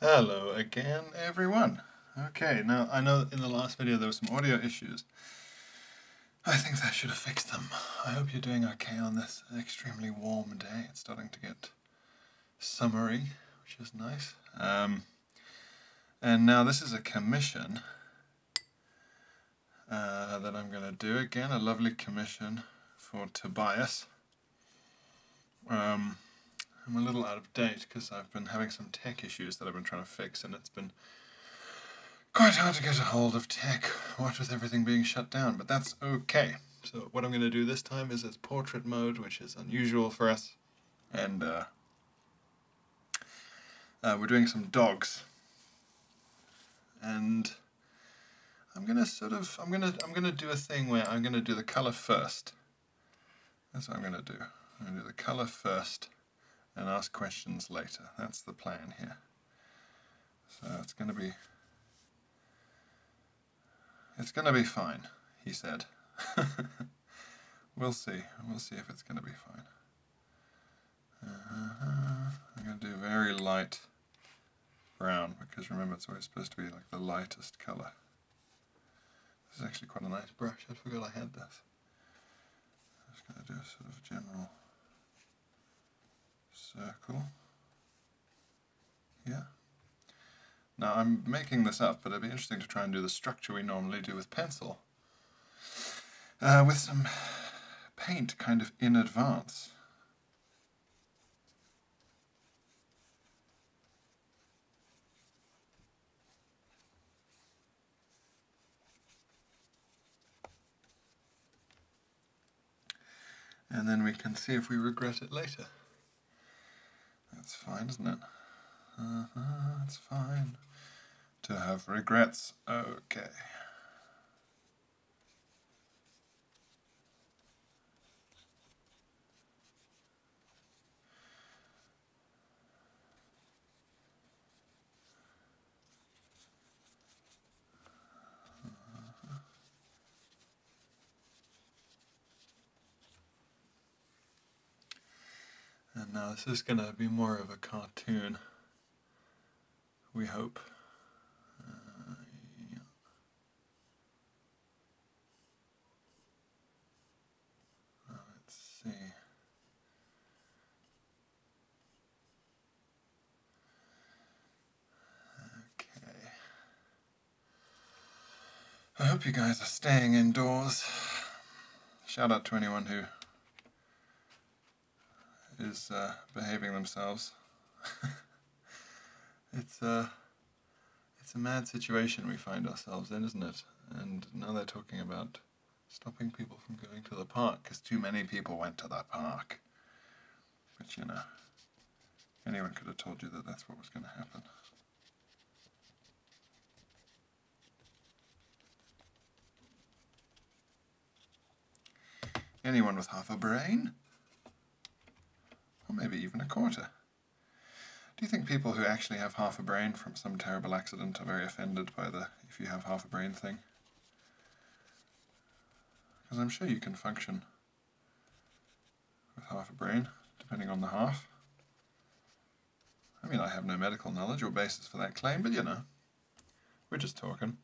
Hello again, everyone. Okay, now I know in the last video there were some audio issues. I think that should have fixed them. I hope you're doing okay on this extremely warm day. It's starting to get summery, which is nice. Um, and now this is a commission uh, that I'm going to do again, a lovely commission for Tobias. Um, I'm a little out of date because I've been having some tech issues that I've been trying to fix, and it's been quite hard to get a hold of tech, what with everything being shut down, but that's okay. So what I'm going to do this time is it's portrait mode, which is unusual for us, and uh, uh, we're doing some dogs. And I'm gonna sort of, I'm gonna, I'm gonna do a thing where I'm gonna do the color first, that's what I'm going to do. I'm going to do the color first and ask questions later. That's the plan here. So it's going to be... It's going to be fine, he said. we'll see. We'll see if it's going to be fine. Uh-huh. I'm going to do very light brown because remember it's always supposed to be like the lightest color. This is actually quite a nice brush. I forgot I had this. I'm just going to do a sort of general circle here. Now I'm making this up, but it'd be interesting to try and do the structure we normally do with pencil. Uh, with some paint kind of in advance. And then we can see if we regret it later. That's fine, isn't it? it's uh-huh, fine to have regrets. Okay. And now uh, this is going to be more of a cartoon, we hope. Uh, uh, let's see. Okay. I hope you guys are staying indoors. Shout out to anyone who is uh, behaving themselves. it's uh, it's a mad situation we find ourselves in, isn't it? And now they're talking about stopping people from going to the park because too many people went to that park. But you know, anyone could have told you that that's what was going to happen. Anyone with half a brain? Or maybe even a quarter. Do you think people who actually have half a brain from some terrible accident are very offended by the if you have half a brain thing? Because I'm sure you can function with half a brain, depending on the half. I mean, I have no medical knowledge or basis for that claim, but you know, we're just talking.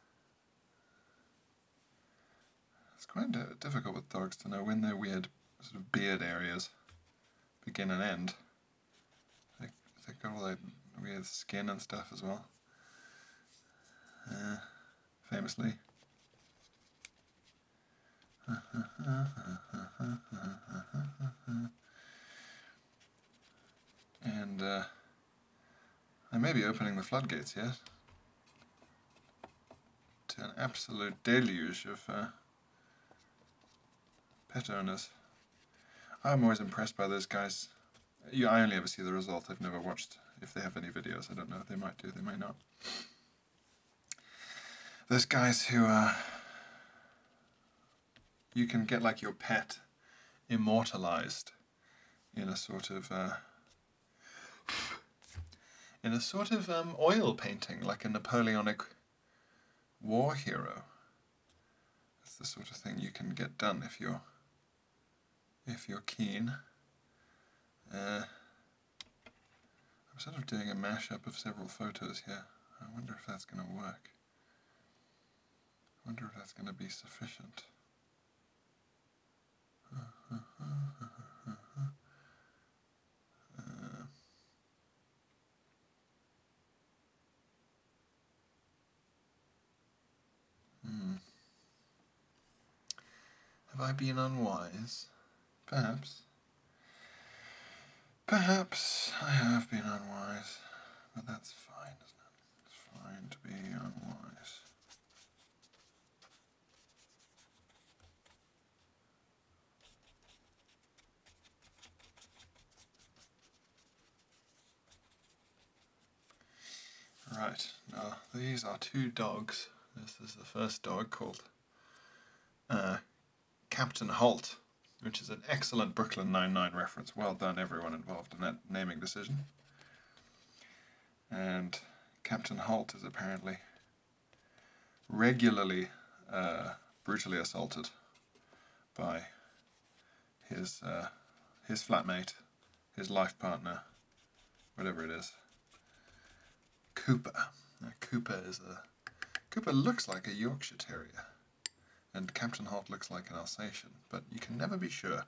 It's kind of difficult with dogs to know when their weird sort of beard areas begin and end. They, they got all that weird skin and stuff as well. Uh, famously. And uh, I may be opening the floodgates yet to an absolute deluge of uh, pet owners. I'm always impressed by those guys. Yeah, I only ever see the result. I've never watched if they have any videos. I don't know. They might do. They might not. Those guys who uh, you can get like your pet immortalized in a sort of uh, in a sort of um, oil painting, like a Napoleonic war hero. That's the sort of thing you can get done if you're if you're keen. Uh, I'm sort of doing a mashup of several photos here. I wonder if that's going to work. I wonder if that's going to be sufficient. Uh, hmm. Have I been unwise? Perhaps. Perhaps I have been unwise, but that's fine, It's fine to be unwise. Right, now these are two dogs. This is the first dog called uh, Captain Holt, which is an excellent Brooklyn Nine-Nine reference. Well done everyone involved in that naming decision. And Captain Holt is apparently regularly uh, brutally assaulted by his uh, his flatmate, his life partner, whatever it is. Cooper. Cooper is a Cooper looks like a Yorkshire Terrier, and Captain Hart looks like an Alsatian, but you can never be sure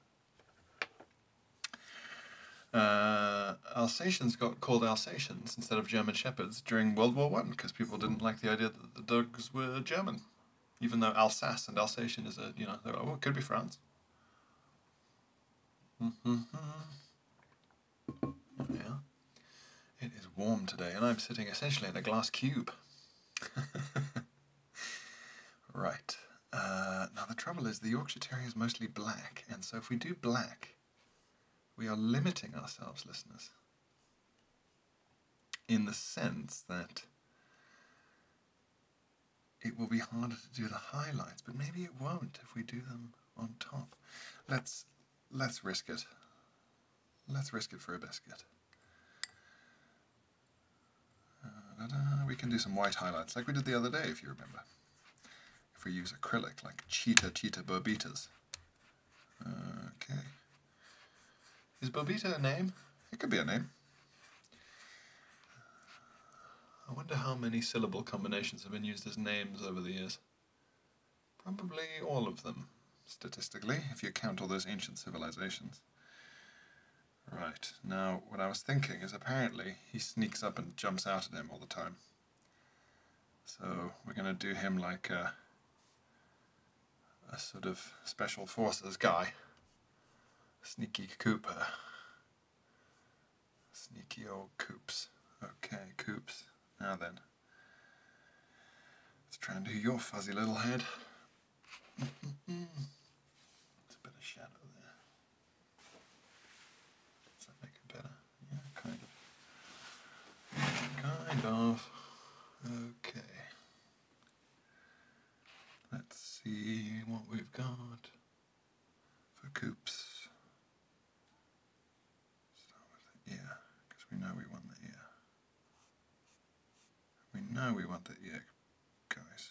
uh, Alsatians got called Alsatians instead of German Shepherds during World War One because people didn't like the idea that the dogs were German, even though Alsace and Alsatian is a you know oh it could be France. Mm-hmm. Yeah, it is warm today, and I'm sitting essentially in a glass cube. right. Uh, now the trouble is the Yorkshire Terrier is mostly black, and so if we do black we are limiting ourselves, listeners, in the sense that it will be harder to do the highlights, but maybe it won't if we do them on top. Let's let's risk it. Let's risk it for a biscuit. Uh, we can do some white highlights like we did the other day, if you remember if we use acrylic, like Cheetah Cheetah Bobitas. Okay. Is Bobita a name? It could be a name. I wonder how many syllable combinations have been used as names over the years. Probably all of them, statistically, if you count all those ancient civilizations. Right, now what I was thinking is apparently he sneaks up and jumps out at him all the time. So we're going to do him like a, sort of special forces guy. Sneaky Cooper. Sneaky old Coops. Okay, Coops. Now then. Let's try and do your fuzzy little head. There's a bit of shadow there. Does that make it better? yeah, kind of. kind of. Okay. Let's see what we've got for coops. Start with the ear, because we know we want the ear. We know we want the ear, guys.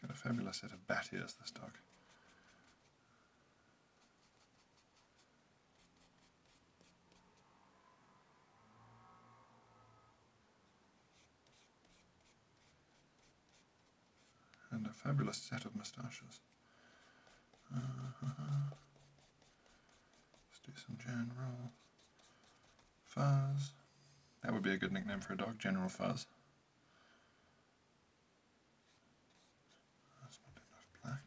got a fabulous set of bat ears, this dog. And a fabulous set of moustaches. Uh-huh. Let's do some general fuzz. That would be a good nickname for a dog, General Fuzz. That's not enough black.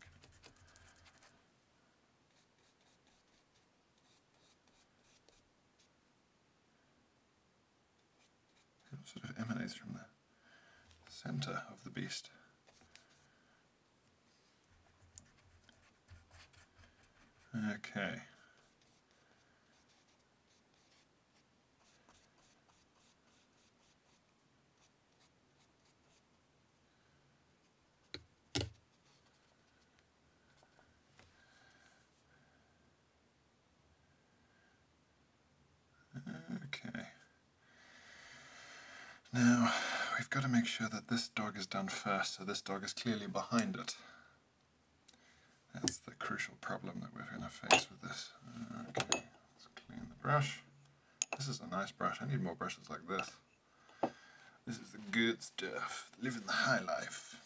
It sort of emanates from the center of the beast. Okay. Okay. Now, we've got to make sure that this dog is done first, so this dog is clearly behind it. That's the crucial problem that we're going to face with this. Okay, let's clean the brush. This is a nice brush. I need more brushes like this. This is the good stuff. Living the high life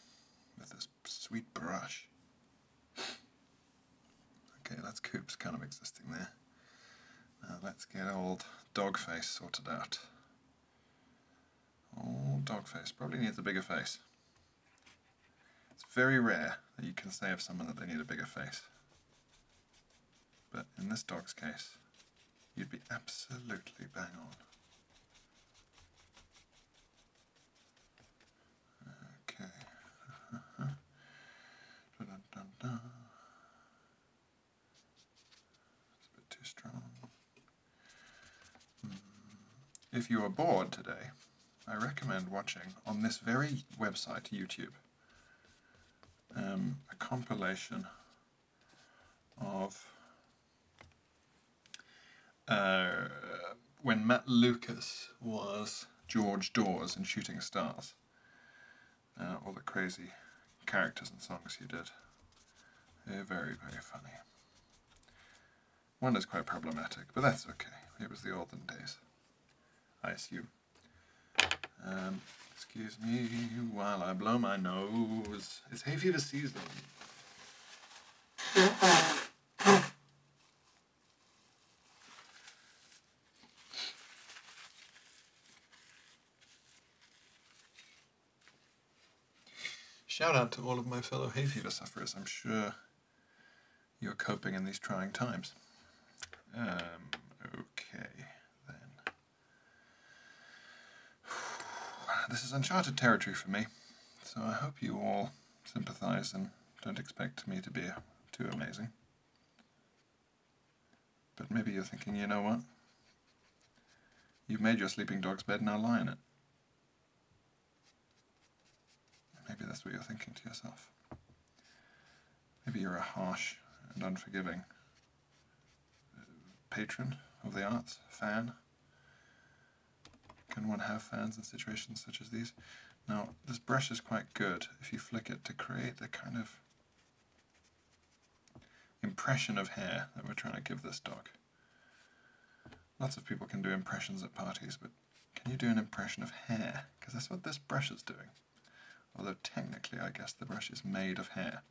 with this sweet brush. Okay, that's Coop's kind of existing there. Now let's get old dog face sorted out. Old face probably needs a bigger face. It's very rare that you can say of someone that they need a bigger face. But in this dog's case, you'd be absolutely bang on. Okay. Dun -dun -dun it's a bit too strong. If you are bored today, I recommend watching on this very website, YouTube, um, a compilation of uh, when Matt Lucas was George Dawes in Shooting Stars. Uh, all the crazy characters and songs he did. They're very, very funny. One is quite problematic, but that's okay. It was the olden days, I see. Um, excuse me while I blow my nose. It's hay fever season. Shout out to all of my fellow hay fever sufferers. I'm sure you're coping in these trying times. Um, okay, then. This is uncharted territory for me, so I hope you all sympathize and don't expect me to be too amazing. But maybe you're thinking, you know what? You've made your sleeping dog's bed, now lie in it. Maybe that's what you're thinking to yourself. Maybe you're a harsh and unforgiving uh, patron of the arts, fan. Can one have fans in situations such as these? Now, this brush is quite good if you flick it to create the kind of impression of hair that we're trying to give this dog. Lots of people can do impressions at parties, but can you do an impression of hair? Because that's what this brush is doing. Although technically, I guess the brush is made of hair.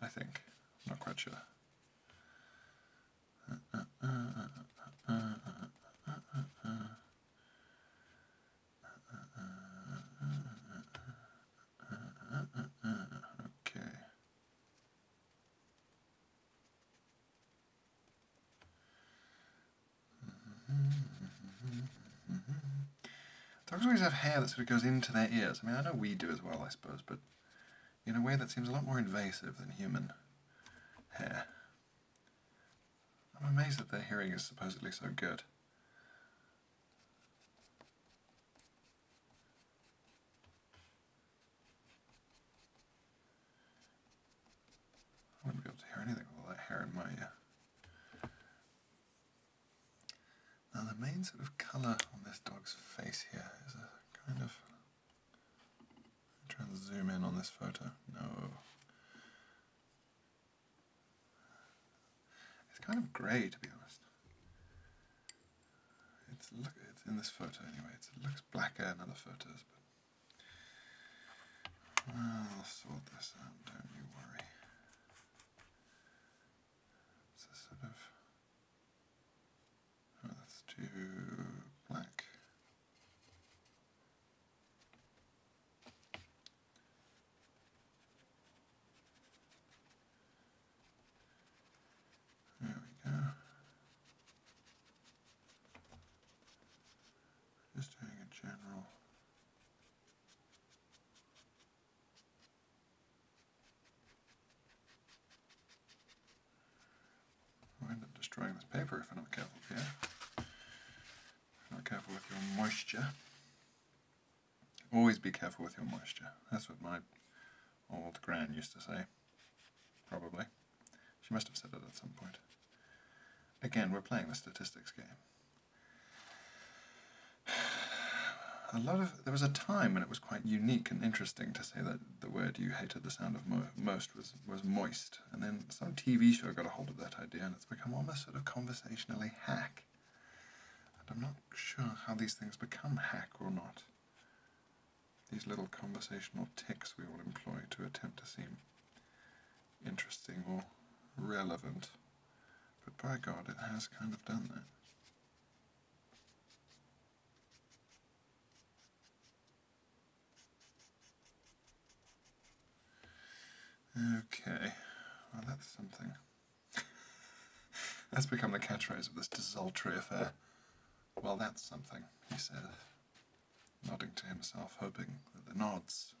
I think. not quite sure. Okay. Dogs always have hair that sort of goes into their ears. I mean, I know we do as well, I suppose, but in a way that seems a lot more invasive than human hair. I'm amazed that their hearing is supposedly so good. I won't be able to hear anything with all that hair in my Now the main sort of colour on this dog's face here is a kind of... Try and zoom in on this photo. No. It's kind of grey to be honest. It's look. It's in this photo anyway. it looks blacker in other photos, but I'll uh, sort this out, don't you worry. sort of. Oh, that's too black. There we go. Just doing a general. I'll end destroying this paper if I'm not careful here. not careful with your moisture. Always be careful with your moisture. That's what my old grand used to say. Probably. She must have said it at some point. Again, we're playing the statistics game. A lot of there was a time when it was quite unique and interesting to say that the word you hated the sound of most was was moist, and then some TV show got a hold of that idea, and it's become almost sort of conversationally hack. And I'm not sure how these things become hack or not these little conversational ticks we all employ to attempt to seem interesting or relevant. But by God, it has kind of done that. Okay, well that's something. that's become the catchphrase of this desultory affair. Well, that's something, he said nodding to himself, hoping that the nods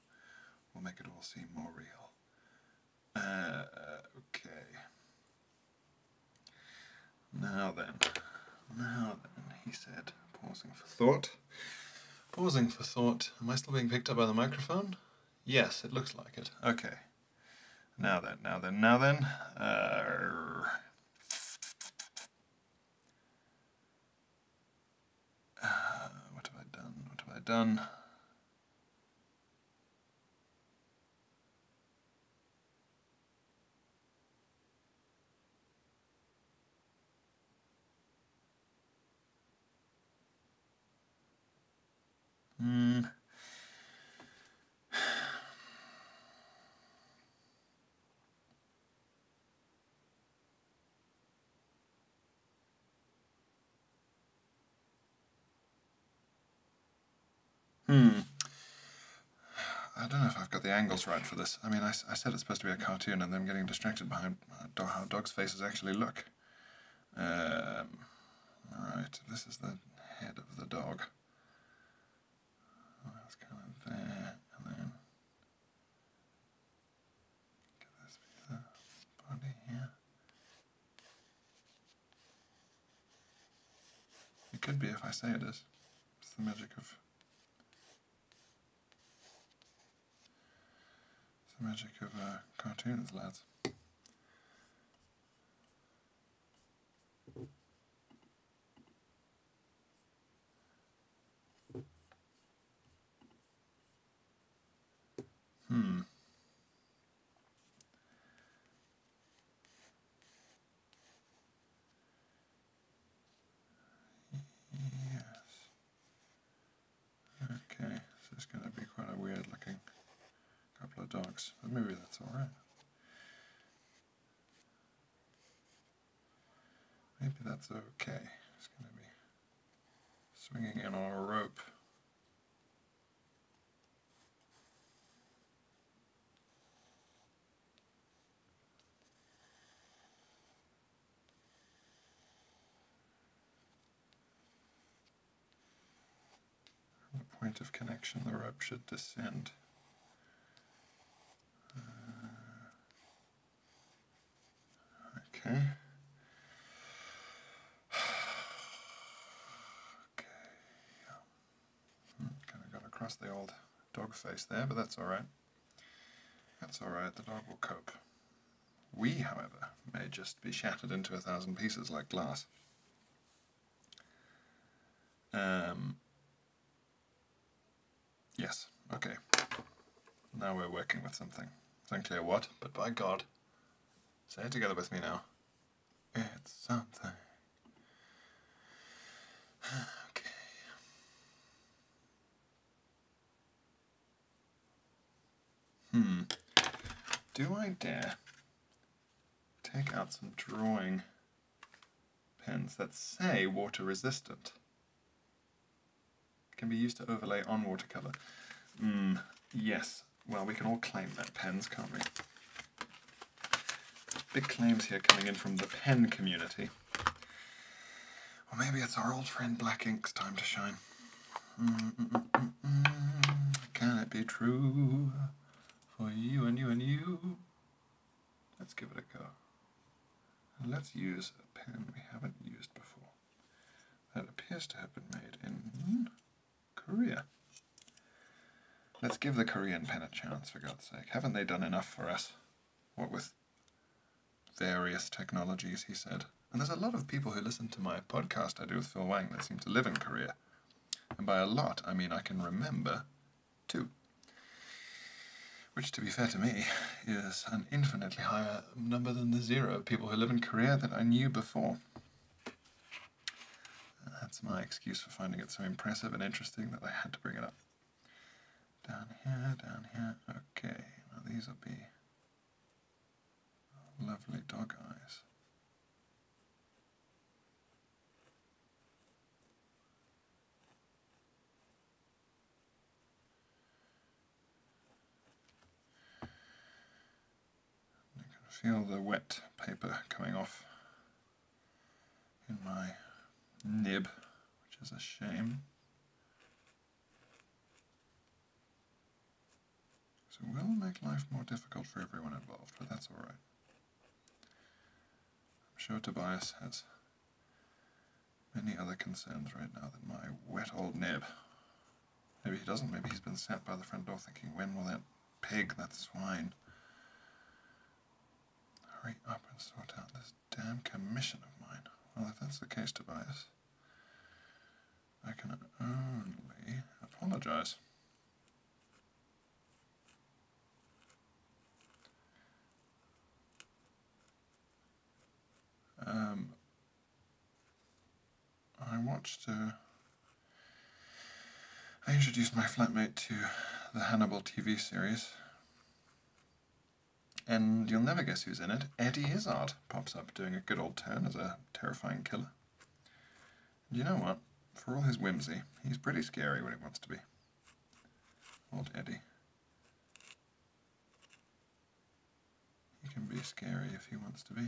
will make it all seem more real. Uh, okay. Now then, now then, he said, pausing for thought. Pausing for thought. Am I still being picked up by the microphone? Yes, it looks like it. Okay. Now then, now then, now then. Uh, uh, what have I done? What have I done? Hmm. Hmm. I don't know if I've got the angles right for this. I mean, I, I said it's supposed to be a cartoon, and then I'm getting distracted by uh, how dogs' faces actually look. All um, right, this is the head of the dog. That's kind of there, and then could be the body here? It could be if I say it is. It's the magic of. It's the magic of uh, cartoons, lads. Hmm. Yes. Okay, This is going to be quite a weird looking couple of dogs, but maybe that's alright. Maybe that's okay. It's going to be swinging in on a rope. From the point of connection, the rope should descend. Uh, Okay. Okay. Yeah. Hmm, kind of got across the old dog face there, but that's all right. That's all right. The dog will cope. We, however, may just be shattered into a thousand pieces like glass. Um, Yes, okay. Now we're working with something. It's unclear what, but by God. Say it together with me now. It's something. Okay. Hmm. Do I dare take out some drawing pens that say water resistant? Can be used to overlay on watercolor. Mm, yes. Well, we can all claim that pens, can't we? Big claims here coming in from the pen community. Or maybe it's our old friend Black Ink's time to shine. Mm -mm -mm Can it be true for you and you and you? Let's give it a go. let's use a pen we haven't used before. That appears to have been made in Korea. Let's give the Korean pen a chance, for God's sake. Haven't they done enough for us? What with various technologies, he said. And there's a lot of people who listen to my podcast I do with Phil Wang that seem to live in Korea. And by a lot, I mean I can remember two. Which, to be fair to me, is an infinitely higher number than the zero of people who live in Korea that I knew before. That's my excuse for finding it so impressive and interesting that they had to bring it up. Down here, down here, okay. Now these will be lovely dog eyes. You can feel the wet paper coming off in my nib, which is a shame. So it will make life more difficult for everyone involved, but that's alright. I'm sure Tobias has Many other concerns right now than my wet old nib. Maybe he doesn't. Maybe he's been sat by the front door thinking, when will that pig, that swine, hurry up and sort out this damn commission of mine? Well, if that's the case, Tobias, I can only apologize. Um, I watched. Uh, I introduced my flatmate to the Hannibal TV series, and you'll never guess who's in it. Eddie Izzard pops up doing a good old turn as a terrifying killer. And you know what? For all his whimsy, he's pretty scary when he wants to be. Old Eddie. He can be scary if he wants to be.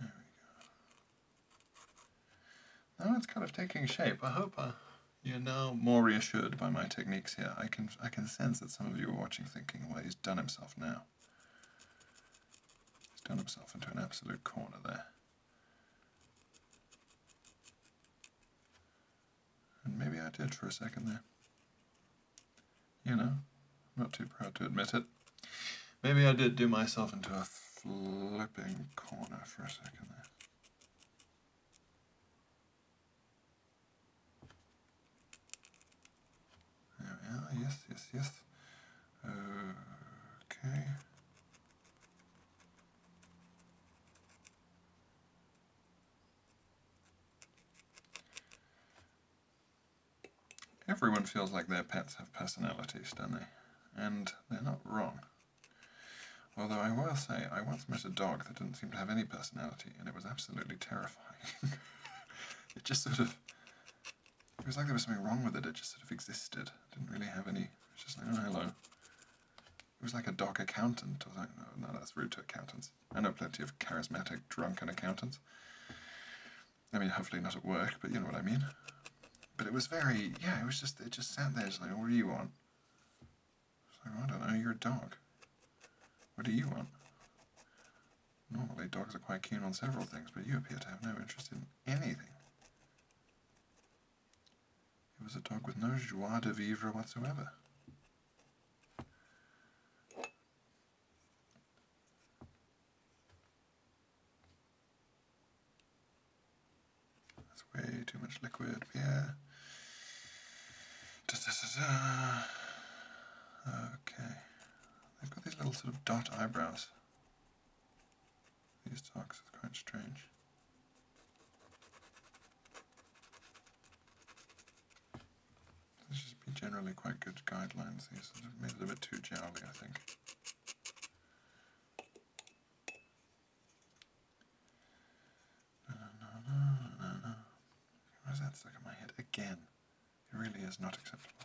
There we go. Now it's kind of taking shape. I hope uh, you're now more reassured by my techniques here. I can I can sense that some of you are watching thinking, well, he's done himself now. He's done himself into an absolute corner there. And maybe I did for a second there. You know, I'm not too proud to admit it. Maybe I did do myself into a flipping corner for a second there. There we are, yes, yes, yes. Okay. Everyone feels like their pets have personalities, don't they? And they're not wrong. Although I will say, I once met a dog that didn't seem to have any personality, and it was absolutely terrifying. it just sort of it was like there was something wrong with it. It just sort of existed. It didn't really have any. It was just like, oh, hello. It was like a dog accountant. I was like, no, no, that's rude to accountants. I know plenty of charismatic, drunken accountants. I mean, hopefully not at work, but you know what I mean. But it was very, yeah, it was just, it just sat there. It's like, what do you want? I don't know, you're a dog. What do you want? Normally, dogs are quite keen on several things, but you appear to have no interest in anything. It was a dog with no joie de vivre whatsoever. That's way too much liquid, beer. okay. They've got these little sort of dot eyebrows these talks are quite strange. These should be generally quite good guidelines. These sort of made it a bit too jowly, I think. Why is that stuck in my head again? It really is not acceptable.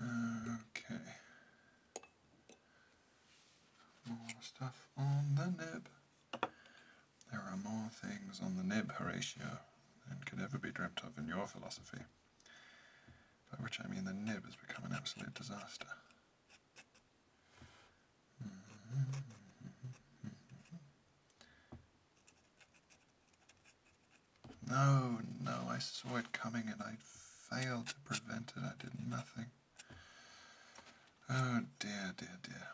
Okay. More stuff on the nib. There are more things on the nib, Horatio, than could ever be dreamt of in your philosophy. By which I mean the nib has become an absolute disaster. Mm-hmm. No, no, I saw it coming and I failed to prevent it. I did nothing. Oh dear, dear, dear.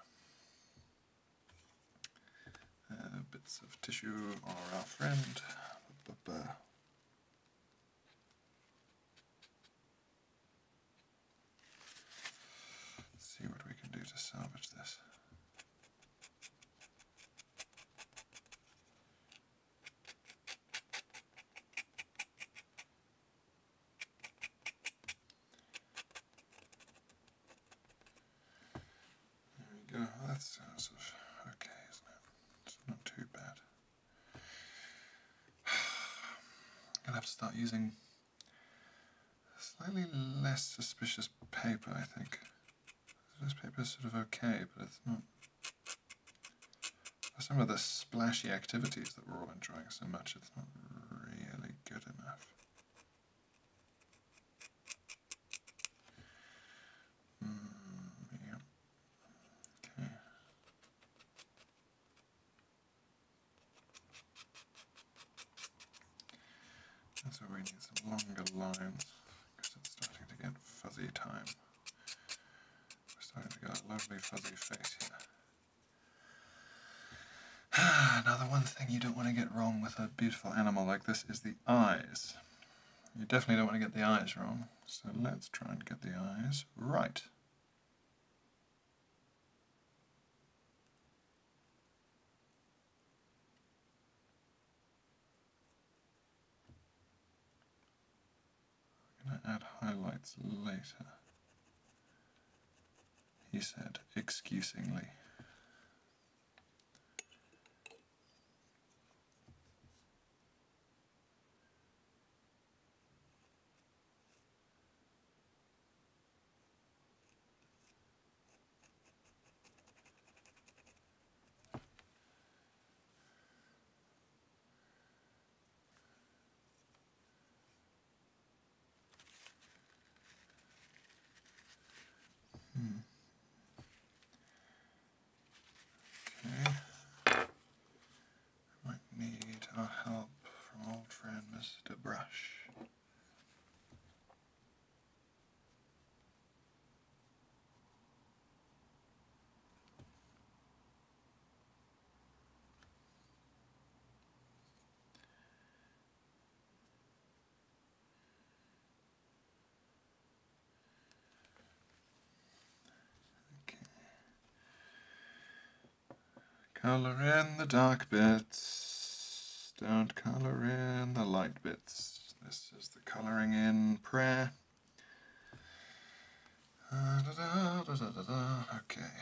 Uh, bits of tissue are our friend. Let's see what we can do to salvage this. There we go. That sounds sort of okay, isn't it? It's not too bad. I'll have to start using slightly less suspicious paper, I think. This paper is sort of okay, but it's not. some of the splashy activities that we're all enjoying so much, it's not really good enough. Hmm, yeah. Okay. That's why we need some longer lines because it's starting to get fuzzy time. We're starting to get a lovely fuzzy face here. now the one thing you don't want to get wrong with a beautiful animal like this is the eyes. You definitely don't want to get the eyes wrong, so let's try and get the eyes right. I'm going to add highlights later. He said excusingly. Hmm. I need help from old friend Mr. Brush. Color in the dark bits. Don't color in the light bits. This is the colouring in prayer. Ah, okay.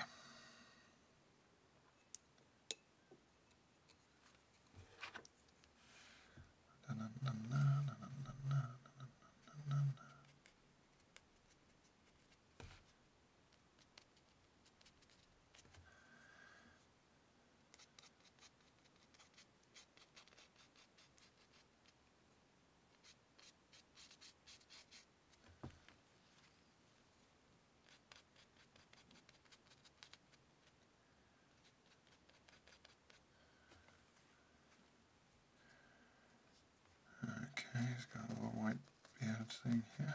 Okay, he's got a little white beard thing here.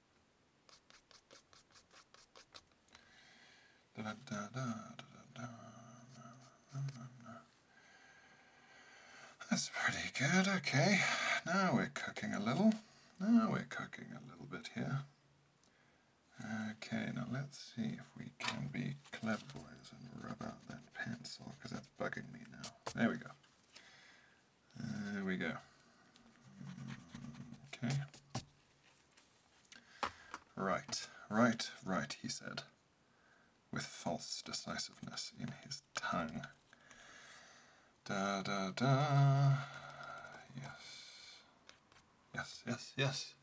That's pretty good, okay. Now we're cooking a little. Now we're cooking a little bit here. Okay, now let's see if we can be clever boys and rub out that pencil, because that's bugging me now. There we go. There we go. Okay. Right, right, right, he said, with false decisiveness in his tongue. Da da da. Yes. Yes, yes, yes.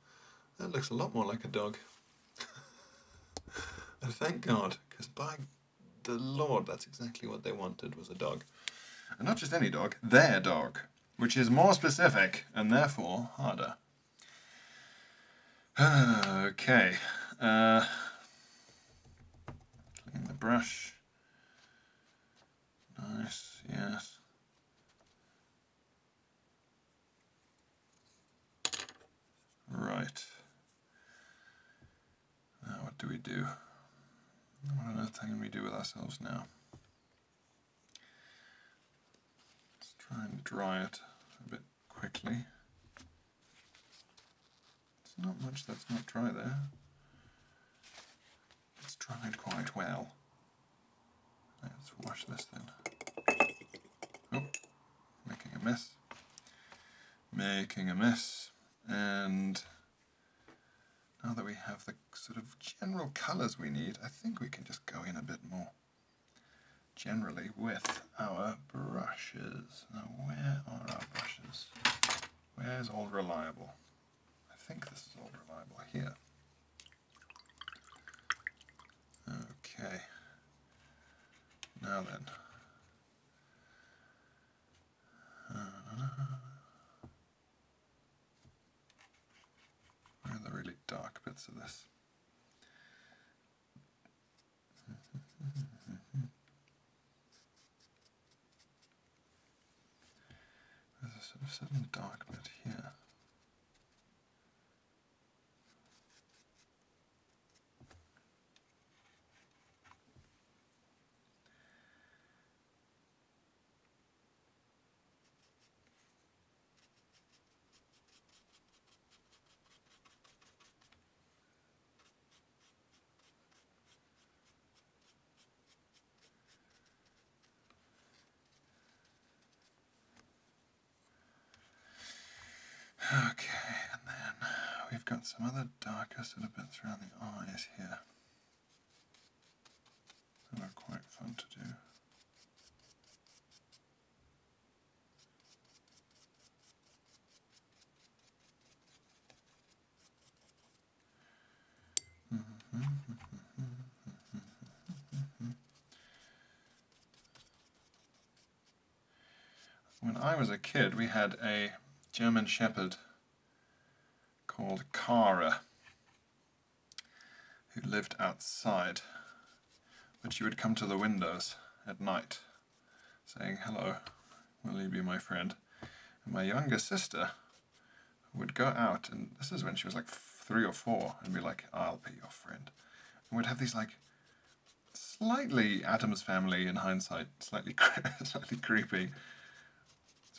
That looks a lot more like a dog. and thank God, because by the Lord, that's exactly what they wanted was a dog. And not just any dog, their dog which is more specific and therefore harder. okay. Uh, clean the brush. Nice, yes. Right. Now what do we do? What on earth can we do with ourselves now? Let's try and dry it a bit quickly. It's not much that's not dry there. It's dried quite well. Let's wash this then. Oh, making a mess. Making a mess. And now that we have the sort of general colors we need, I think we can just go in a bit more generally with our brushes. Now where are our brushes? Where's Old Reliable? I think this is Old Reliable here. Okay. Now then. Where are the really dark bits of this? There's a sort of certain dark bit here. Okay, and then we've got some other darker sort of bits around the eyes here. They were quite fun to do. When I was a kid, we had a German Shepherd called Kara who lived outside, but she would come to the windows at night, saying, Hello, will you be my friend? And my younger sister would go out, and this is when she was like three or four, and be like, I'll be your friend. And we'd have these like slightly Adam's family in hindsight, slightly, slightly creepy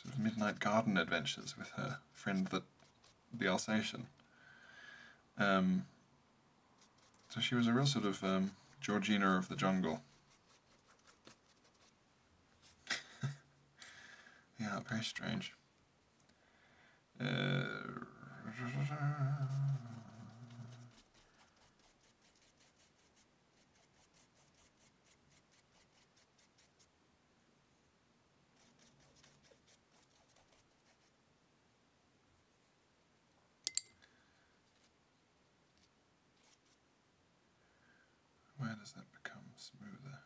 sort of midnight garden adventures with her friend that the Alsatian. Um, so she was a real sort of um, Georgina of the jungle. yeah, very strange. Uh, where does that become smoother?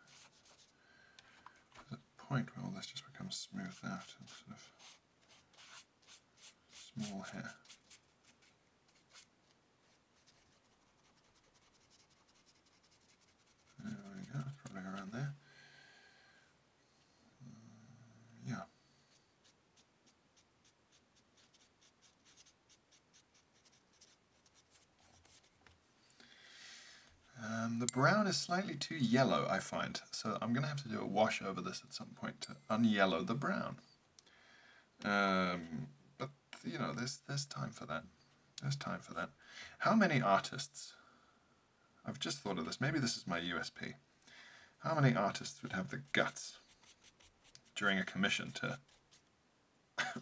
There's point where all this just becomes smoothed out and sort of small here. There we go, probably around there. Mm, yeah. Um, the brown is slightly too yellow, I find, so I'm going to have to do a wash over this at some point to unyellow the brown. Um, but, you know, there's, there's time for that. There's time for that. How many artists? I've just thought of this. Maybe this is my USP. How many artists would have the guts during a commission to,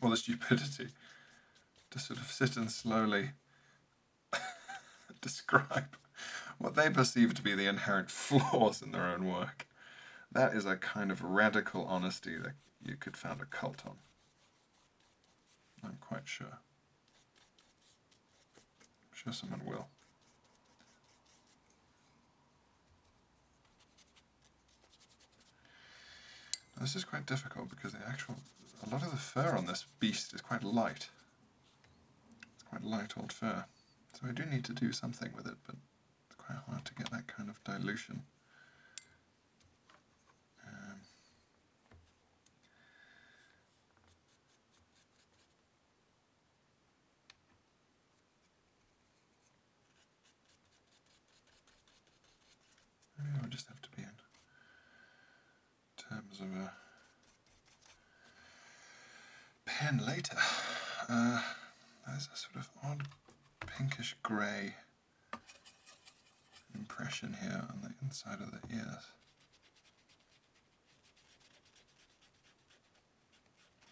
well, the stupidity, to sort of sit and slowly describe what they perceive to be the inherent flaws in their own work? That is a kind of radical honesty that you could found a cult on. Not quite sure. I'm sure someone will. this is quite difficult because the actual, a lot of the fur on this beast is quite light. It's quite light old fur. So I do need to do something with it, but it's quite hard to get that kind of dilution. Um, i just have to be in terms of a pen later. Uh, there's a sort of odd pinkish grey impression here on the inside of the ears.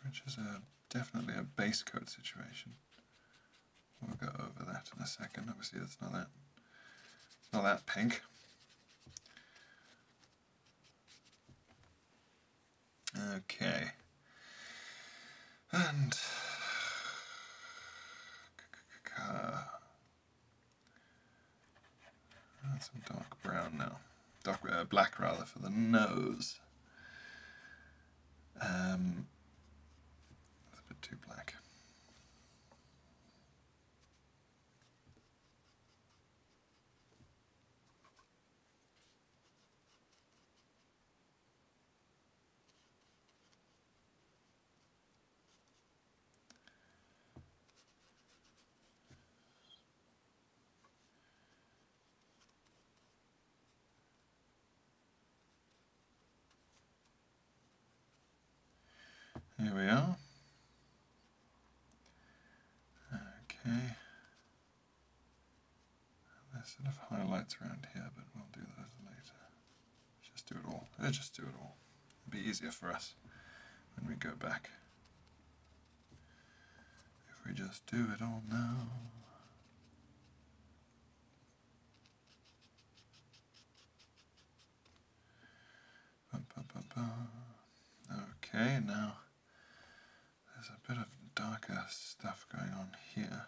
Which is a definitely a base coat situation. We'll go over that in a second. Obviously that's not that not that pink. Okay. And some dark brown now, dark uh, black rather for the nose. Um, a bit too black. Here we are. Okay. There's sort of highlights around here, but we'll do those later. Just do it all. Let's just do it all. It'll be easier for us when we go back. If we just do it all now. Okay, now there's a bit of darker stuff going on here.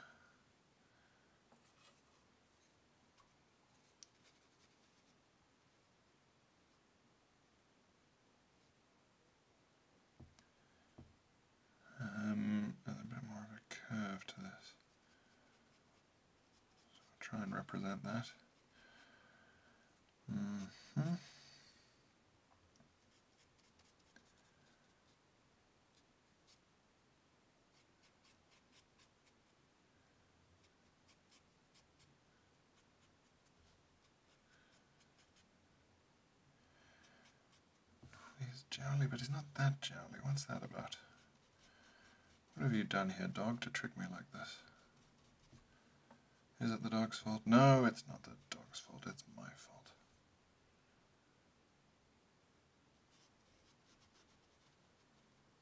Um, a bit more of a curve to this. try and represent that. -hmm. He's jowly, but he's not that jowly. What's that about? What have you done here, dog, to trick me like this? Is it the dog's fault? No, it's not the dog's fault. It's my fault.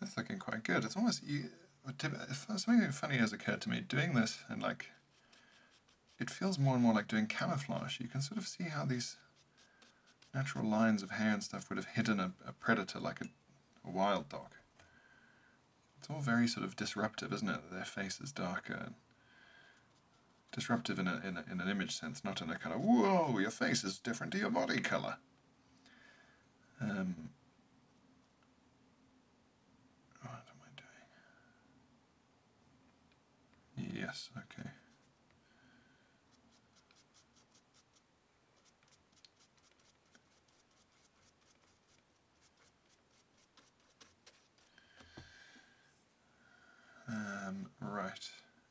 That's looking quite good. It's almost, something funny has occurred to me, doing this and like, it feels more and more like doing camouflage. You can sort of see how these natural lines of hair and stuff would have hidden a, predator like a, wild dog. It's all very sort of disruptive, isn't it? Their face is darker disruptive in, a, in, an image sense, not in a kind of, whoa, your face is is different to your body colour. Um, what am I doing? Yes, okay. Um, right.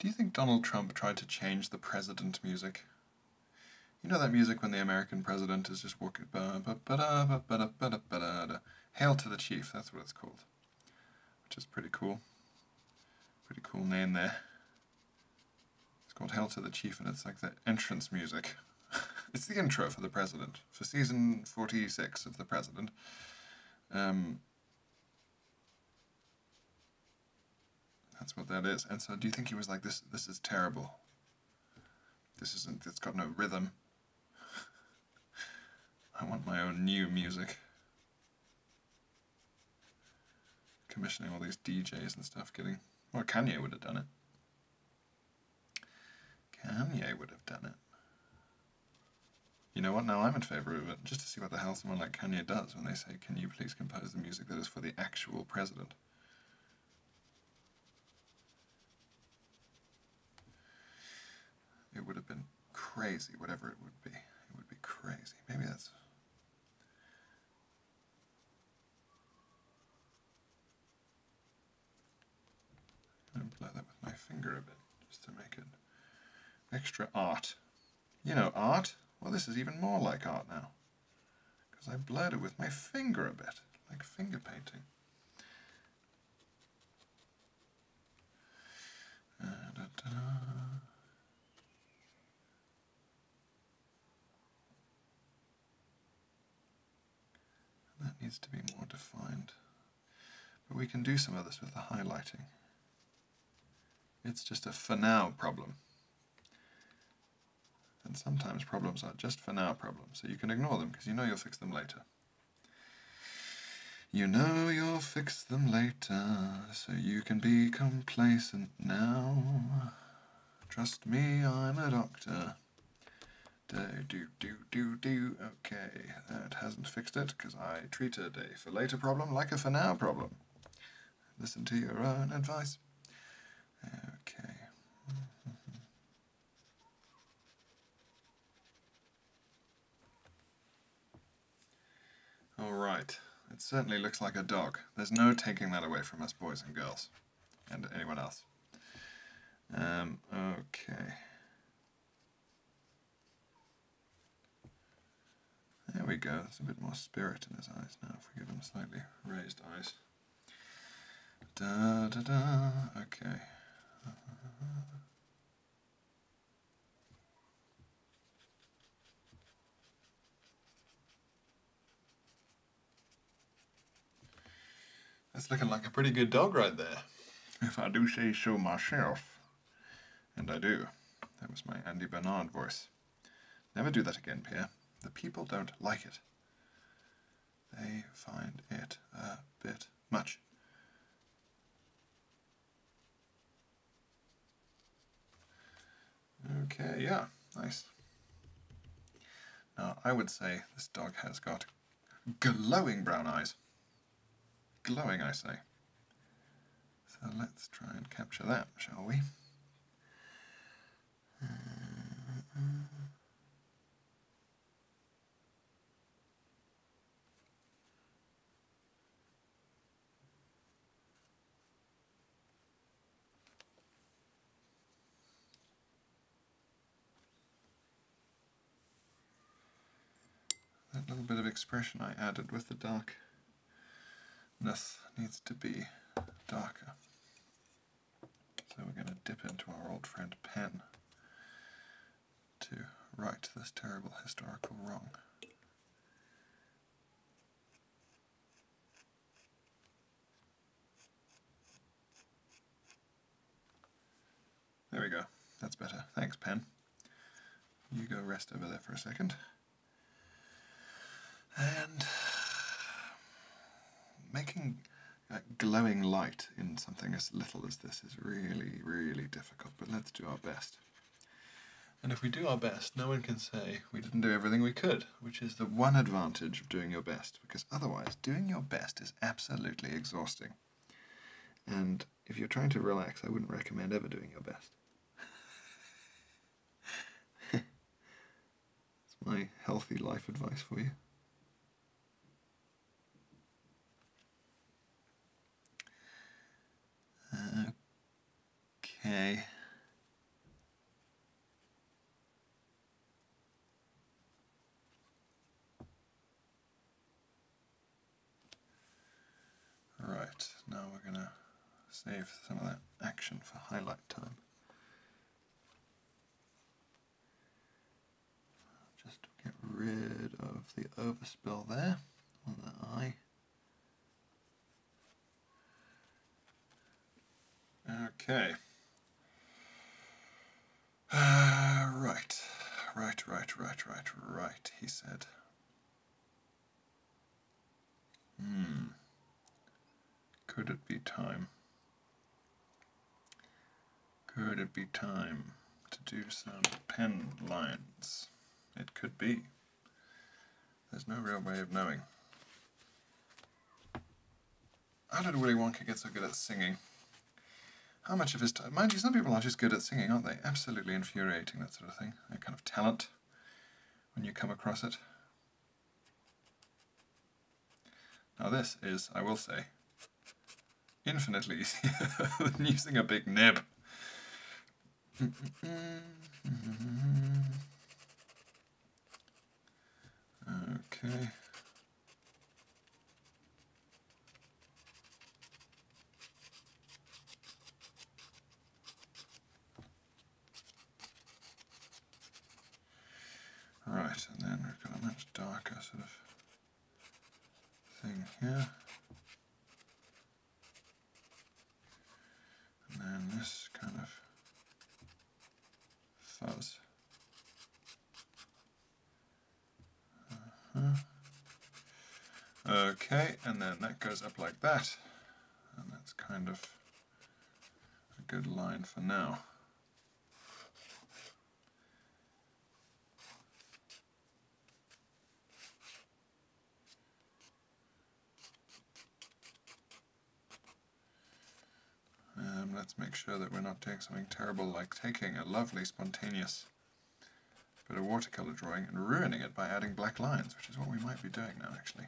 Do you think Donald Trump tried to change the president music? You know that music when the American president is just walking. Hail to the Chief, that's what it's called. Which is pretty cool. Pretty cool name there. It's called Hail to the Chief, and it's like the entrance music. it's the intro for The President, for season 46 of The President. Um, that's what that is. And so do you think he was like, this This is terrible. This isn't, it's got no rhythm. I want my own new music. Commissioning all these DJs and stuff, getting... Well, Kanye would have done it. Kanye would have done it. You know what? Now I'm in favor of it, just to see what the hell someone like Kanye does when they say, Can you please compose the music that is for the actual president? It would have been crazy, whatever it would be. It would be crazy. Maybe that's. I'm play with my finger a bit, just to make it extra art. You know, art? Well, this is even more like art now. Because I blurred it with my finger a bit, like finger painting that needs to be more defined. But we can do some of this with the highlighting. It's just a for now problem. And sometimes problems are just for now problems, so you can ignore them because you know you'll fix them later. You know you'll fix them later, so you can be complacent now. Trust me, I'm a doctor. Do, do, do, do, do. Okay, that hasn't fixed it because I treated a for later problem like a for now problem. Listen to your own advice. Okay. All right. It certainly looks like a dog. There's no taking that away from us boys and girls and anyone else. Um, okay. There we go, there's a bit more spirit in his eyes now if we give him slightly raised eyes. Da da da, okay. That's looking like a pretty good dog right there. If I do say so myself. And I do. That was my Andy Bernard voice. Never do that again, Pierre. The people don't like it. They find it a bit much. Okay, yeah, nice. Now, I would say this dog has got glowing brown eyes. Glowing, I say. So let's try and capture that, shall we? That little bit of expression I added with the darkness needs to be darker. So we're going to dip into our old friend pen to right this terrible historical wrong. There we go. That's better. Thanks, pen. You go rest over there for a second. And making uh, glowing light in something as little as this is really, really difficult, but let's do our best. And if we do our best, no one can say we didn't do everything we could, which is the one advantage of doing your best because otherwise doing your best is absolutely exhausting. And if you're trying to relax, I wouldn't recommend ever doing your best. That's my healthy life advice for you. Okay. Alright, now we're going to save some of that action for highlight time. Just get rid of the overspill there on the eye. Okay. Uh, right, right, right, right, right, right, he said. Hmm. Could it be time? Could it be time to do some pen lines? It could be. There's no real way of knowing. How did Willy Wonka get so good at singing? How much of his time? Mind you, some people are just good at singing, aren't they? Absolutely infuriating, that sort of thing. That kind of talent when you come across it. Now this is, I will say, infinitely easier than using a big nib. Okay. Right, and then we've got a much darker sort of thing here. And then this kind of thumbs. Uh-huh. Okay, and then that goes up like that. And that's kind of a good line for now. Um, let's make sure that we're not doing something terrible like taking a lovely spontaneous bit of watercolor drawing and ruining it by adding black lines, which is what we might be doing now actually.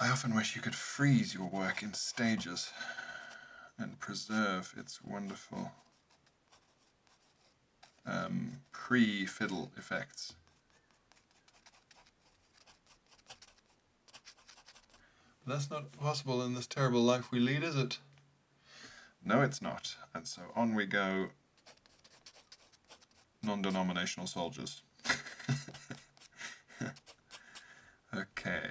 I often wish you could freeze your work in stages and preserve its wonderful um, pre-fiddle effects that's not possible in this terrible life we lead, is it? No, it's not. And so on we go, non-denominational soldiers. okay.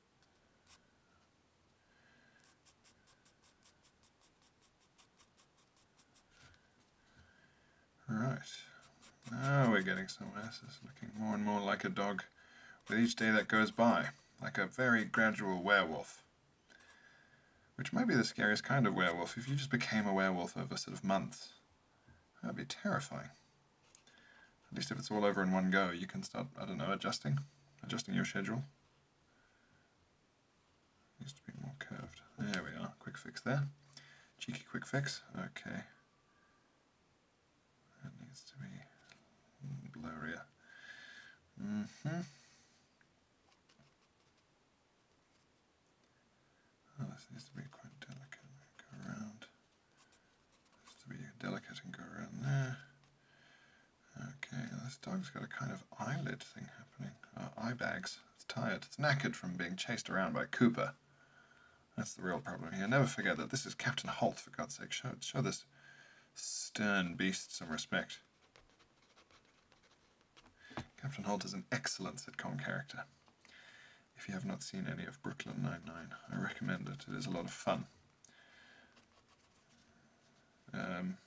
Right, now we're getting somewhere. This is looking more and more like a dog with each day that goes by, like a very gradual werewolf. Which might be the scariest kind of werewolf. If you just became a werewolf over sort of months, that'd be terrifying. At least if it's all over in one go, you can start, I don't know, adjusting, adjusting your schedule. Needs to be more curved. There we are, quick fix there. Cheeky quick fix, okay. That needs to be blurrier. hmm Oh, this needs to be quite delicate. Go around. Just to be delicate and go around there. Okay, this dog's got a kind of eyelid thing happening. Uh, eye bags. It's tired. It's knackered from being chased around by Cooper. That's the real problem here. Never forget that this is Captain Holt, for God's sake. Show, show this stern beast some respect. Captain Holt is an excellent sitcom character. If you have not seen any of Brooklyn Nine-Nine, I recommend it. It is a lot of fun. Um,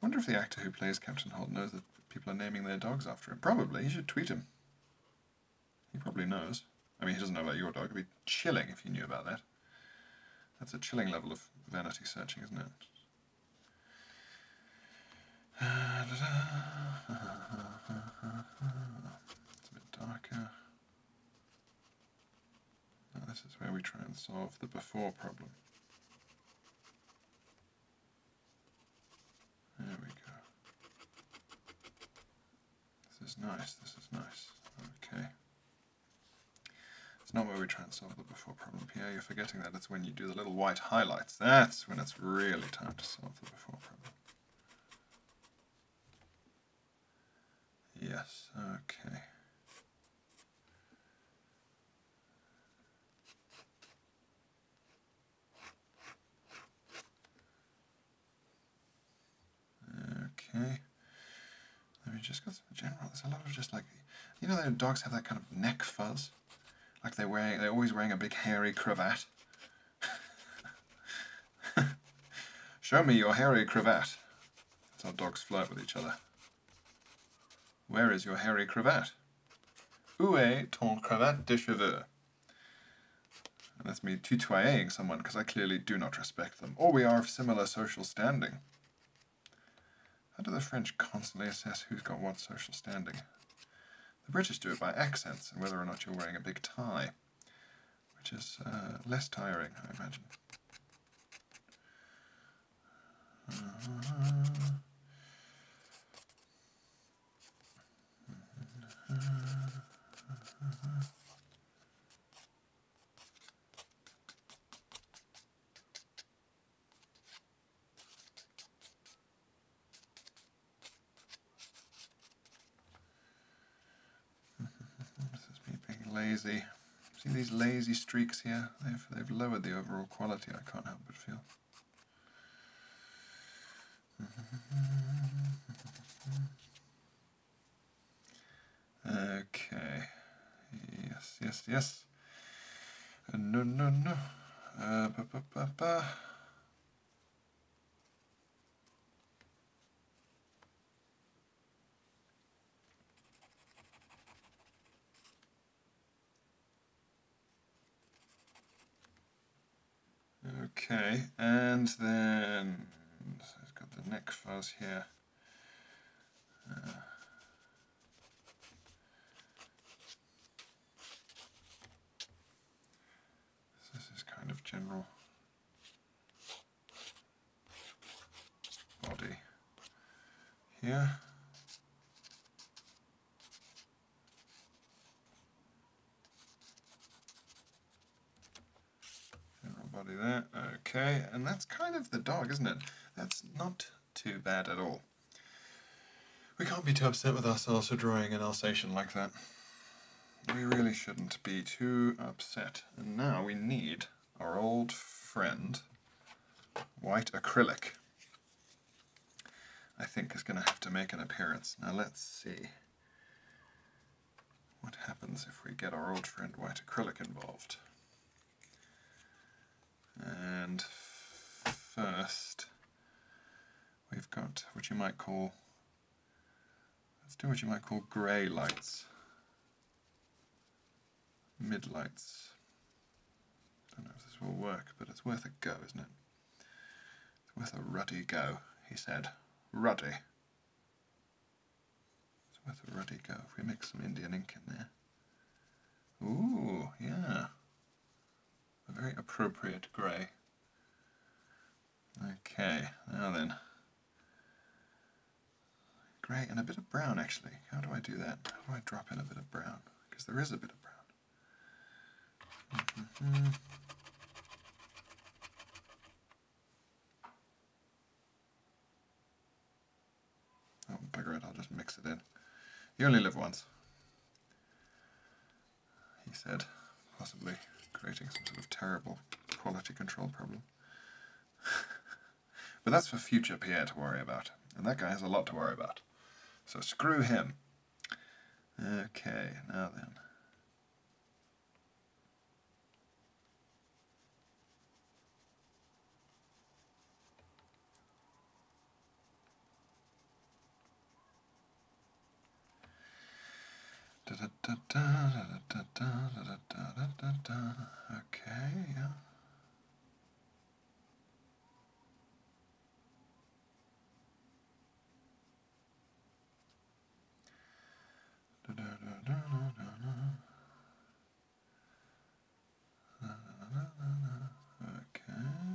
I wonder if the actor who plays Captain Holt knows that people are naming their dogs after him. Probably. He should tweet him. He probably knows. I mean, he doesn't know about your dog. It'd be chilling if he knew about that. That's a chilling level of vanity searching, isn't it? It's a bit darker this is where we try and solve the before problem. There we go. This is nice, this is nice. Okay. It's not where we try and solve the before problem. here. you're forgetting that. It's when you do the little white highlights. That's when it's really time to solve the before problem. Yes, okay. Okay. Let me just go through the general. There's a lot of just like, you know, the dogs have that kind of neck fuzz. Like they're wearing, they're always wearing a big hairy cravat. Show me your hairy cravat. It's how dogs flirt with each other. Where is your hairy cravat? Où est ton cravate de cheveux? Let's me tutoying someone because I clearly do not respect them, or we are of similar social standing. How do the French constantly assess who's got what social standing? The British do it by accents and whether or not you're wearing a big tie which is uh, less tiring, I imagine. this is me being lazy. See these lazy streaks here? They've, they've lowered the overall quality, I can't help but feel. Okay. Yes, yes, yes. Uh, no, no, no. Uh, ba, ba, ba, Okay, and then so it's got the next fuzz here. Uh, this is kind of general body here. General body there, okay, and that's kind of the dog, isn't it? That's not too bad at all. We can't be too upset with ourselves for drawing an Alsatian like that. We really shouldn't be too upset. And now we need our old friend, white acrylic, I think is going to have to make an appearance. Now let's see what happens if we get our old friend white acrylic involved. And first, we've got what you might call, let's do what you might call grey lights mid lights. Don't know if this will work, but it's worth a go, isn't it? It's worth a ruddy go, he said. Ruddy. It's worth a ruddy go if we mix some Indian ink in there. Ooh, yeah. A very appropriate grey. Okay, now then. Grey and a bit of brown actually. How do I do that? How do I drop in a bit of brown? Because there is a bit of brown. Mm -hmm. Oh, it, I'll just mix it in. You only live once. He said, possibly creating some sort of terrible quality control problem. but that's for future Pierre to worry about. And that guy has a lot to worry about. So screw him. Okay, now then da, da, da, da. Okay, yeah. Da, da, da, da, da, da. Da, da, da, da, da. Okay.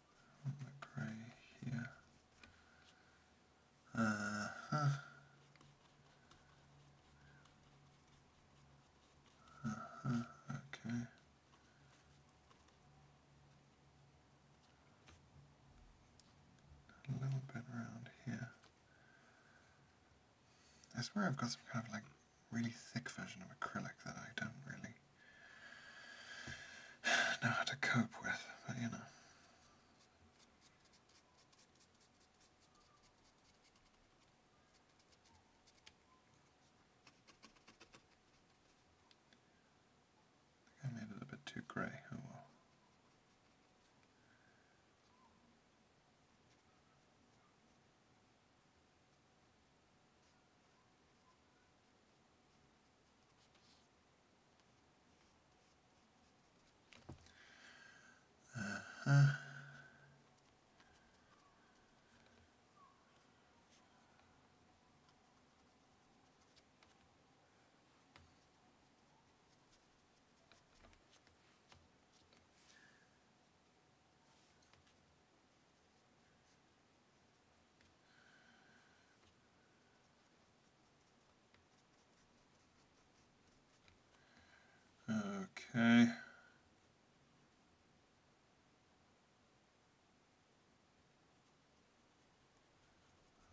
grey here. Uh huh. Uh huh. Okay. A little bit around here. I swear I've got some kind of like really thick version of acrylic that I don't really know how to cope with, but you know. I think I made it a bit too gray. Oh well. Uh-huh. Okay.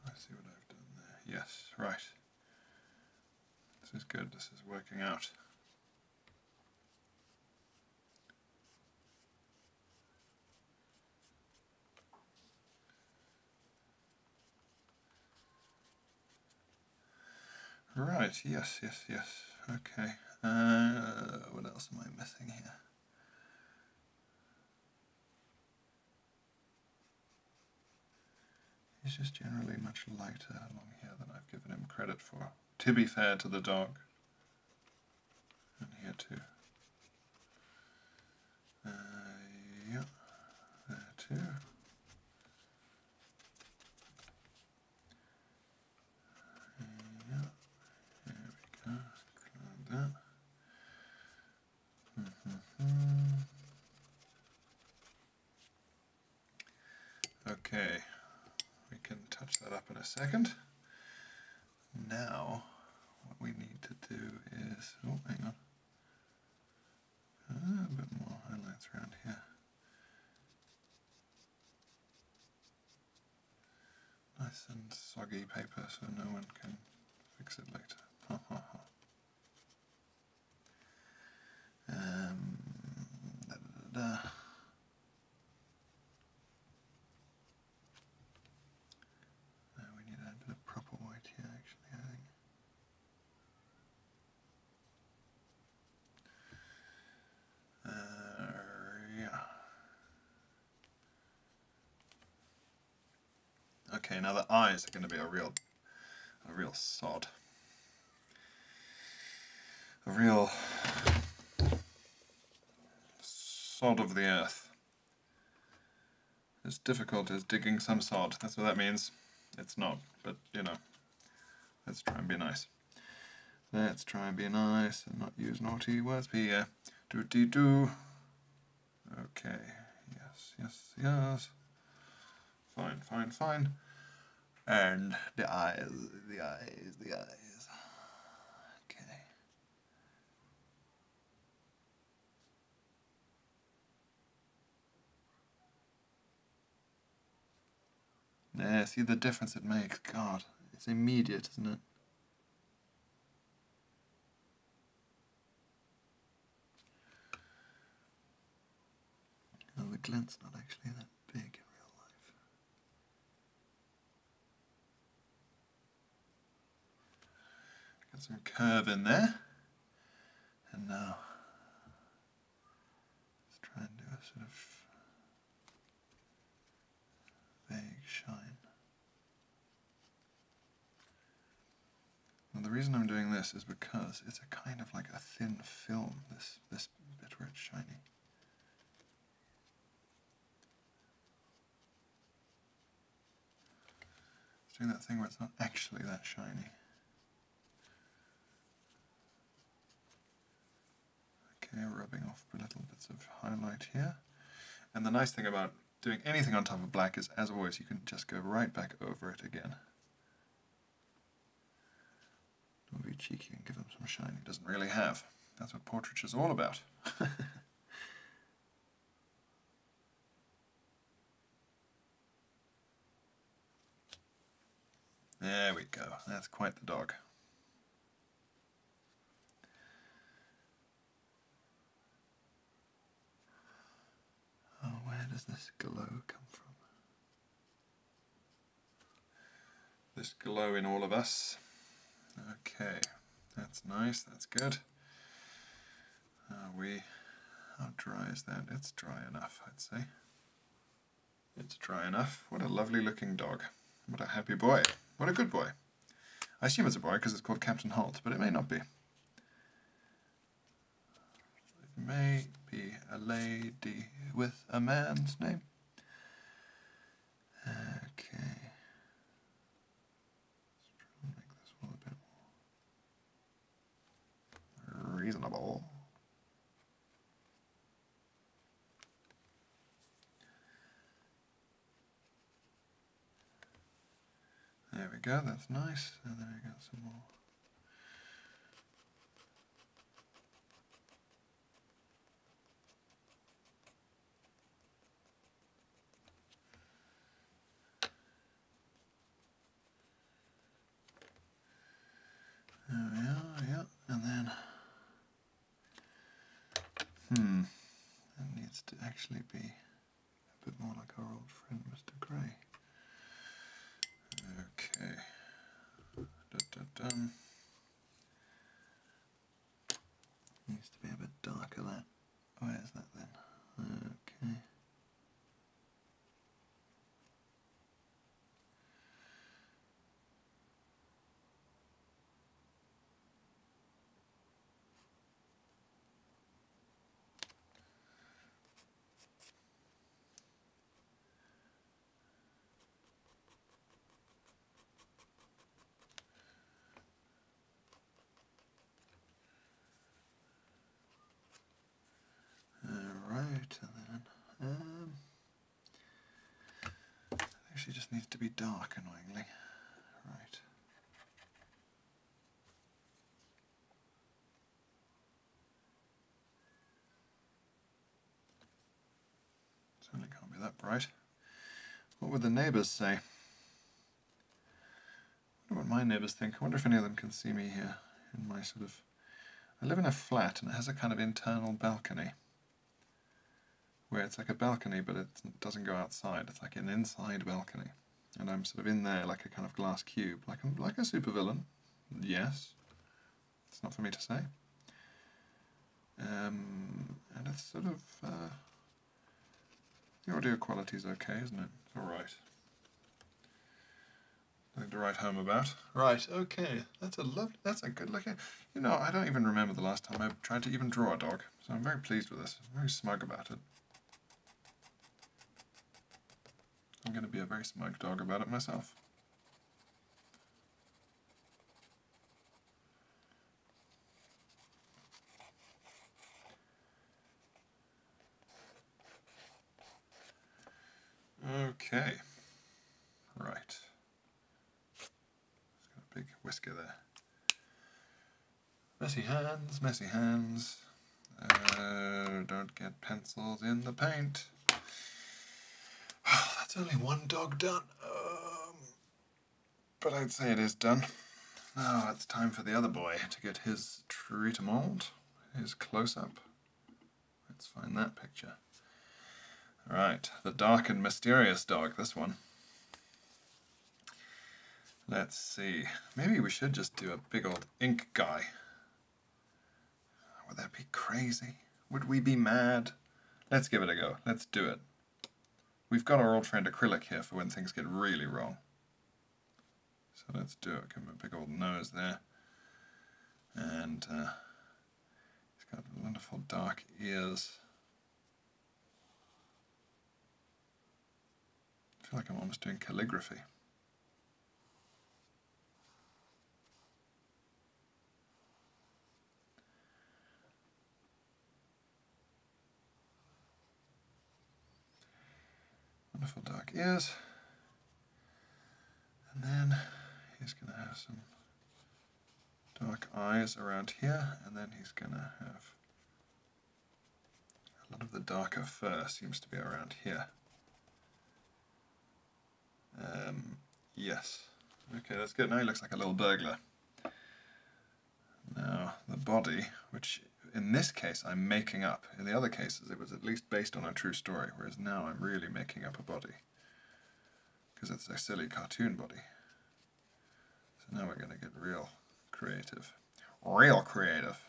I see what I've done there. Yes, right. This is good. This is working out. Right, yes, yes, yes. Okay. Uh, what else am I missing here? He's just generally much lighter along here than I've given him credit for. To be fair to the dog. And here too. Uh, yeah, there too. yeah, there we go. like that. Okay, we can touch that up in a second. Now, what we need to do is, oh, hang on. Ah, a bit more highlights around here. Nice and soggy paper so no one can fix it later. Um, uh, we need a bit of proper white here actually, I think. Uh, yeah. Okay, now the eyes are going to be a real, a real sod. A real sod of the earth as difficult as digging some salt That's what that means. It's not, but you know, let's try and be nice. Let's try and be nice and not use naughty words here. Do do. Okay. Yes, yes, yes. Fine, fine, fine. And the eyes, the eyes, the eyes. Okay. Yeah, see the difference it makes. God, it's immediate, isn't it? Oh, the glint's not actually that big in real life. Got some curve in there. And now, let's try and do a sort of vague shine. Now the reason I'm doing this is because it's a kind of like a thin film, this, this bit where it's shiny. It's doing that thing where it's not actually that shiny. Okay, rubbing off a little bits of highlight here. And the nice thing about doing anything on top of black is, as always, you can just go right back over it again. Don't be cheeky and give them some shine doesn't really have. That's what portraiture's all about. There we go. That's quite the dog. Oh, where does this glow come from? This glow in all of us. Okay, that's nice, that's good. Uh, we, how dry is that? It's dry enough, I'd say. It's dry enough. What a lovely looking dog. What a happy boy. What a good boy. I assume it's a boy because it's called Captain Holt, but it may not be. It may be a lady with a man's name. Okay. Reasonable. There we go, that's nice. And then we got some more. There we are. yeah, and then hmm, that needs to actually be a bit more like our old friend Mr. Grey. Okay, dun, dun, dun. needs to be a bit darker that. Where's that then? Okay. Alright, and then, um, actually just needs to be dark, annoyingly. Right. Certainly can't be that bright. What would the neighbours say? I wonder what my neighbours think. I wonder if any of them can see me here in my sort of. I live in a flat and it has a kind of internal balcony where it's like a balcony but it doesn't go outside. It's like an inside balcony, and I'm sort of in there like a kind of glass cube, like a, like a supervillain. Yes, it's not for me to say. Um, and it's sort of uh, the audio quality is okay, isn't it? It's all right. Nothing to write home about. Right, okay. That's a lovely, that's a good looking, you know, I don't even remember the last time I tried to even draw a dog. So I'm very pleased with this. very smug about it. I'm going to be a very smug dog about it myself. Okay. Right. got a big whisker there. Messy hands, messy hands. Uh, don't get pencils in the paint. that's only one dog done. Um, but I'd say it is done. Now it's time for the other boy to get his treat mold. Here's close up. Let's find that picture. All right, the dark and mysterious dog, this one. Let's see. Maybe we should just do a big old ink guy. Would that be crazy? Would we be mad? Let's give it a go. Let's do it. We've got our old friend acrylic here for when things get really wrong. So let's do it. Give him a big old nose there. And uh, he's got wonderful dark ears. I feel like I'm almost doing calligraphy. Wonderful dark ears. And then he's going to have some dark eyes around here, and then he's going to have a lot of the darker fur seems to be around here. Um, yes. Okay, that's good. Now he looks like a little burglar. Now, the body, which in this case I'm making up. In the other cases, it was at least based on a true story, whereas now I'm really making up a body because it's a silly cartoon body. So now we're going to get real creative. Real creative.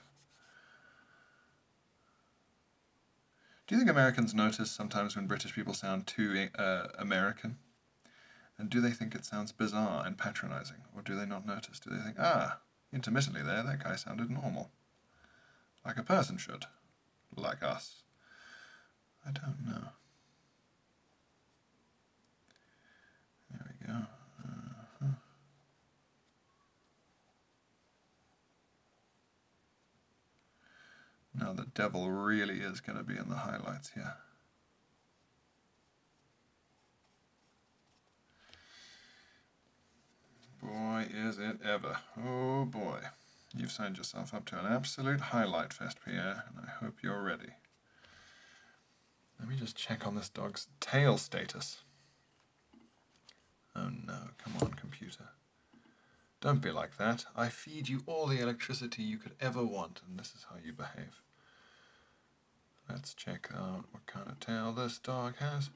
Do you think Americans notice sometimes when British people sound too uh, American? And do they think it sounds bizarre and patronizing? Or do they not notice? Do they think, ah, Intermittently there, that guy sounded normal. Like a person should. Like us. I don't know. There we go. Uh-huh. Now the devil really is going to be in the highlights here. Boy, is it ever. Oh boy. You've signed yourself up to an absolute highlight fest, Pierre, and I hope you're ready. Let me just check on this dog's tail status. Oh no, come on, computer. Don't be like that. I feed you all the electricity you could ever want, and this is how you behave. Let's check out what kind of tail this dog has.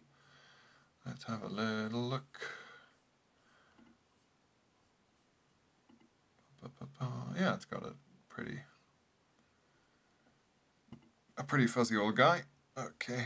Let's have a little look. Yeah, it's got a pretty a pretty fuzzy old guy. Okay.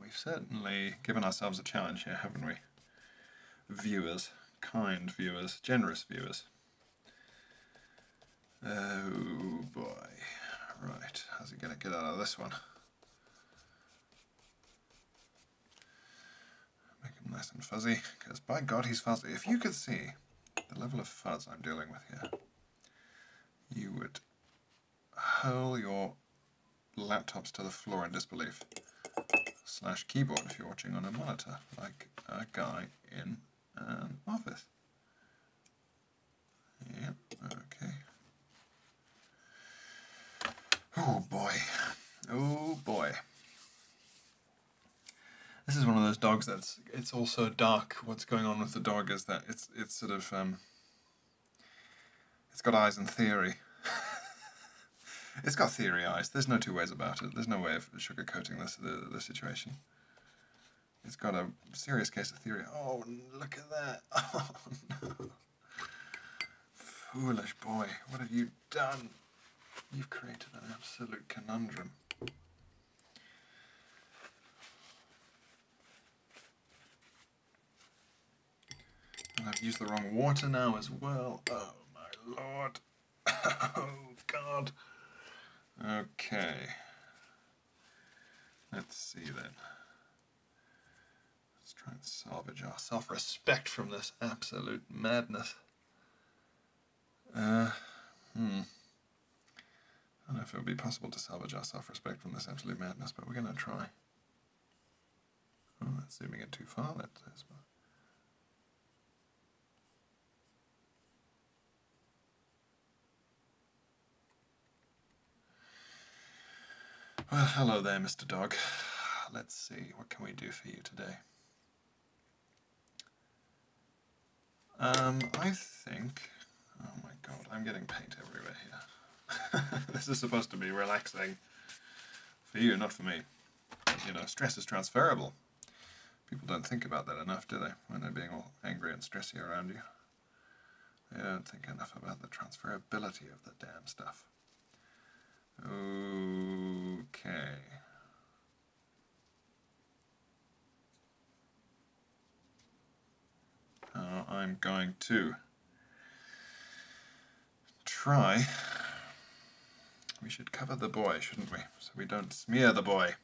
We've certainly given ourselves a challenge here, haven't we? Viewers, kind viewers, generous viewers. Oh boy. Right, how's it going to get out of this one? Make him nice and fuzzy, because by God he's fuzzy. If you could see the level of fuzz I'm dealing with here, you would hurl your laptops to the floor in disbelief. Slash keyboard if you're watching on a monitor, like a guy in an um, office. Yep, okay. Oh boy. Oh boy. This is one of those dogs that's it's also dark. What's going on with the dog is that it's it's sort of um it's got eyes in theory. it's got theory eyes. There's no two ways about it. There's no way of sugarcoating this the, the situation. It's got a serious case of theory. Oh, look at that. Foolish boy, what have you done? You've created an absolute conundrum. I've used the wrong water now as well. Oh my lord. oh god. Okay. Let's see then. Let's try and salvage our self-respect from this absolute madness. Uh, hmm. I don't know if it would be possible to salvage our self-respect from this absolute madness, but we're going to try. Oh, that's zooming in too far, let that is. Well, hello there, Mr. Dog. Let's see, what can we do for you today? Um, I think Oh my god, I'm getting paint everywhere here. this is supposed to be relaxing for you, not for me. You know, stress is transferable. People don't think about that enough, do they? When they're being all angry and stressy around you. They don't think enough about the transferability of the damn stuff. Okay. Uh, I'm going to try. We should cover the boy, shouldn't we? So we don't smear the boy.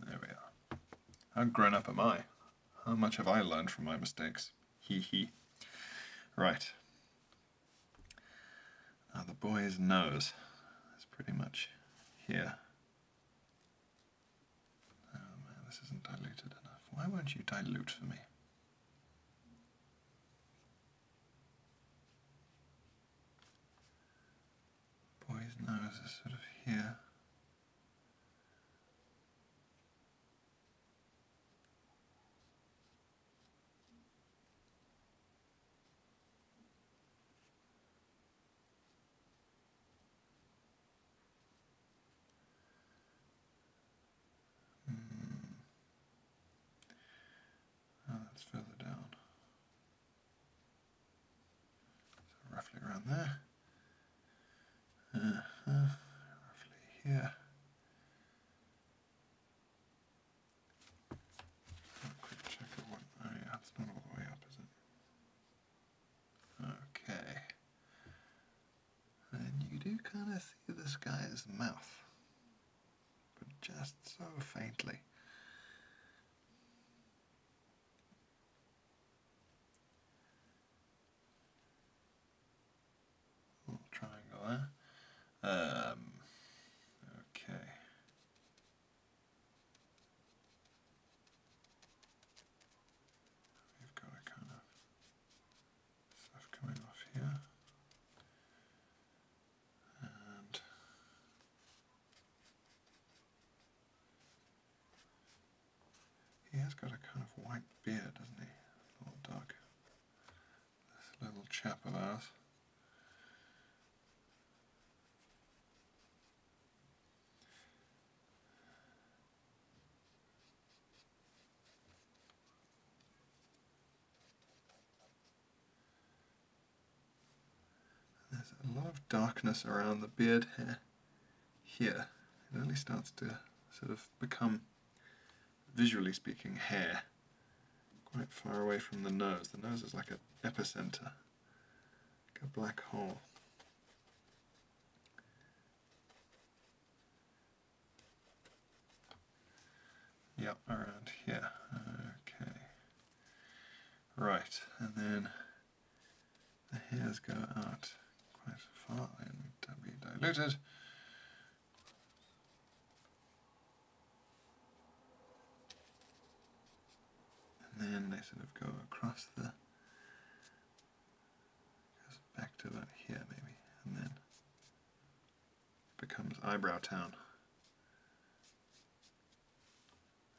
There we are. How grown up am I? How much have I learned from my mistakes? Hee hee. Right. Now uh, the boy's nose is pretty much here. Oh man, this isn't diluted enough. Why won't you dilute for me? Boy's nose is sort of here. Mm. that's further down. roughly around there. Uh -huh. Roughly here. quick check of what. Oh yeah, it's not all the way up, is it? Okay. And you do kind of see this guy's mouth, but just so faintly. Little triangle there. Um, okay he has got a kind of white beard, doesn't he? Little dog. This little chap of ours. There's a lot of darkness around the beard here. here. It only starts to sort of become, visually speaking, hair quite far away from the nose. The nose is like an epicenter, like a black hole. Yeah. around here. Okay. Right, and then the hairs go out quite far and to diluted. And then they sort of go across the Goes back to about here maybe, and then becomes eyebrow town.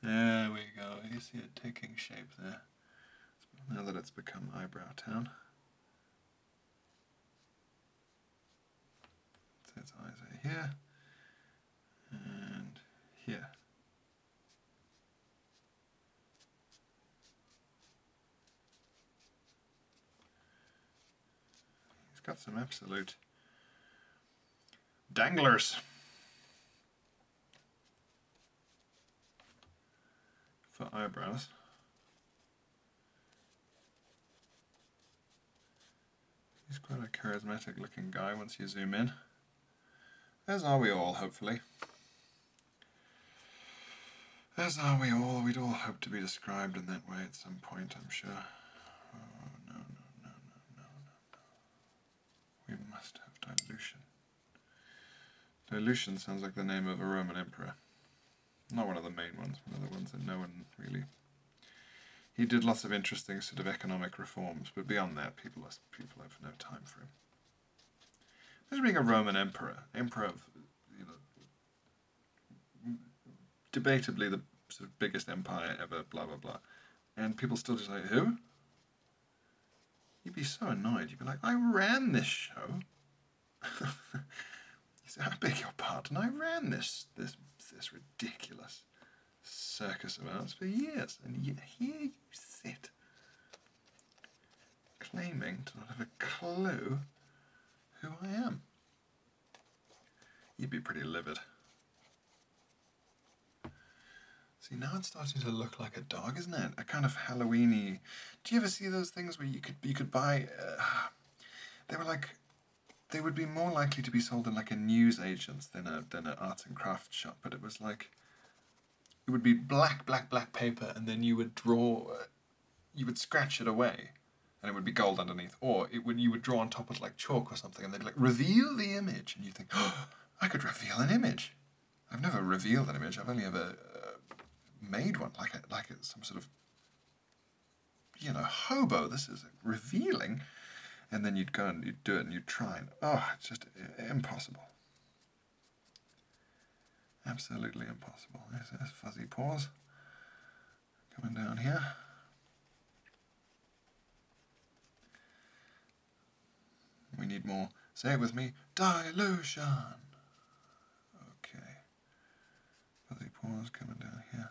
There we go, you see it taking shape there. Now that it's become eyebrow town. So its eyes are here and here. He's got some absolute danglers. For eyebrows. He's quite a charismatic looking guy once you zoom in. As are we all, hopefully. As are we all, we'd all hope to be described in that way at some point, I'm sure. Oh, no, no, no, no, no, no, We must have dilution. Dilution sounds like the name of a Roman emperor. Not one of the main ones, one of the ones that no one really... He did lots of interesting sort of economic reforms, but beyond that, people, people have no time for him. Imagine being a Roman emperor, emperor of, you know, debatably the sort of biggest empire ever, blah, blah, blah. And people still just like, who? You'd be so annoyed. You'd be like, I ran this show. you say, I beg your pardon, I ran this, this, this ridiculous circus of ours for years, and here you sit claiming to not have a clue who I am. You'd be pretty livid. See, now it's starting to look like a dog, isn't it? A kind of Halloweeny. Do you ever see those things where you could you could buy? Uh, they were like, they would be more likely to be sold in like a newsagent's than a than an art and craft shop. But it was like it would be black, black, black paper, and then you would draw, you would scratch it away, and it would be gold underneath. Or it would you would draw on top of it like chalk or something, and they'd like reveal the image, and you think, oh, I could reveal an image. I've never revealed an image. I've only ever uh, made one, like a, like some sort of you know hobo. This is revealing, and then you'd go and you'd do it, and you'd try, and oh, it's just uh, impossible. Absolutely impossible. There's, there's fuzzy paws coming down here. We need more. Say it with me. Dilution! Okay. Fuzzy paws coming down here.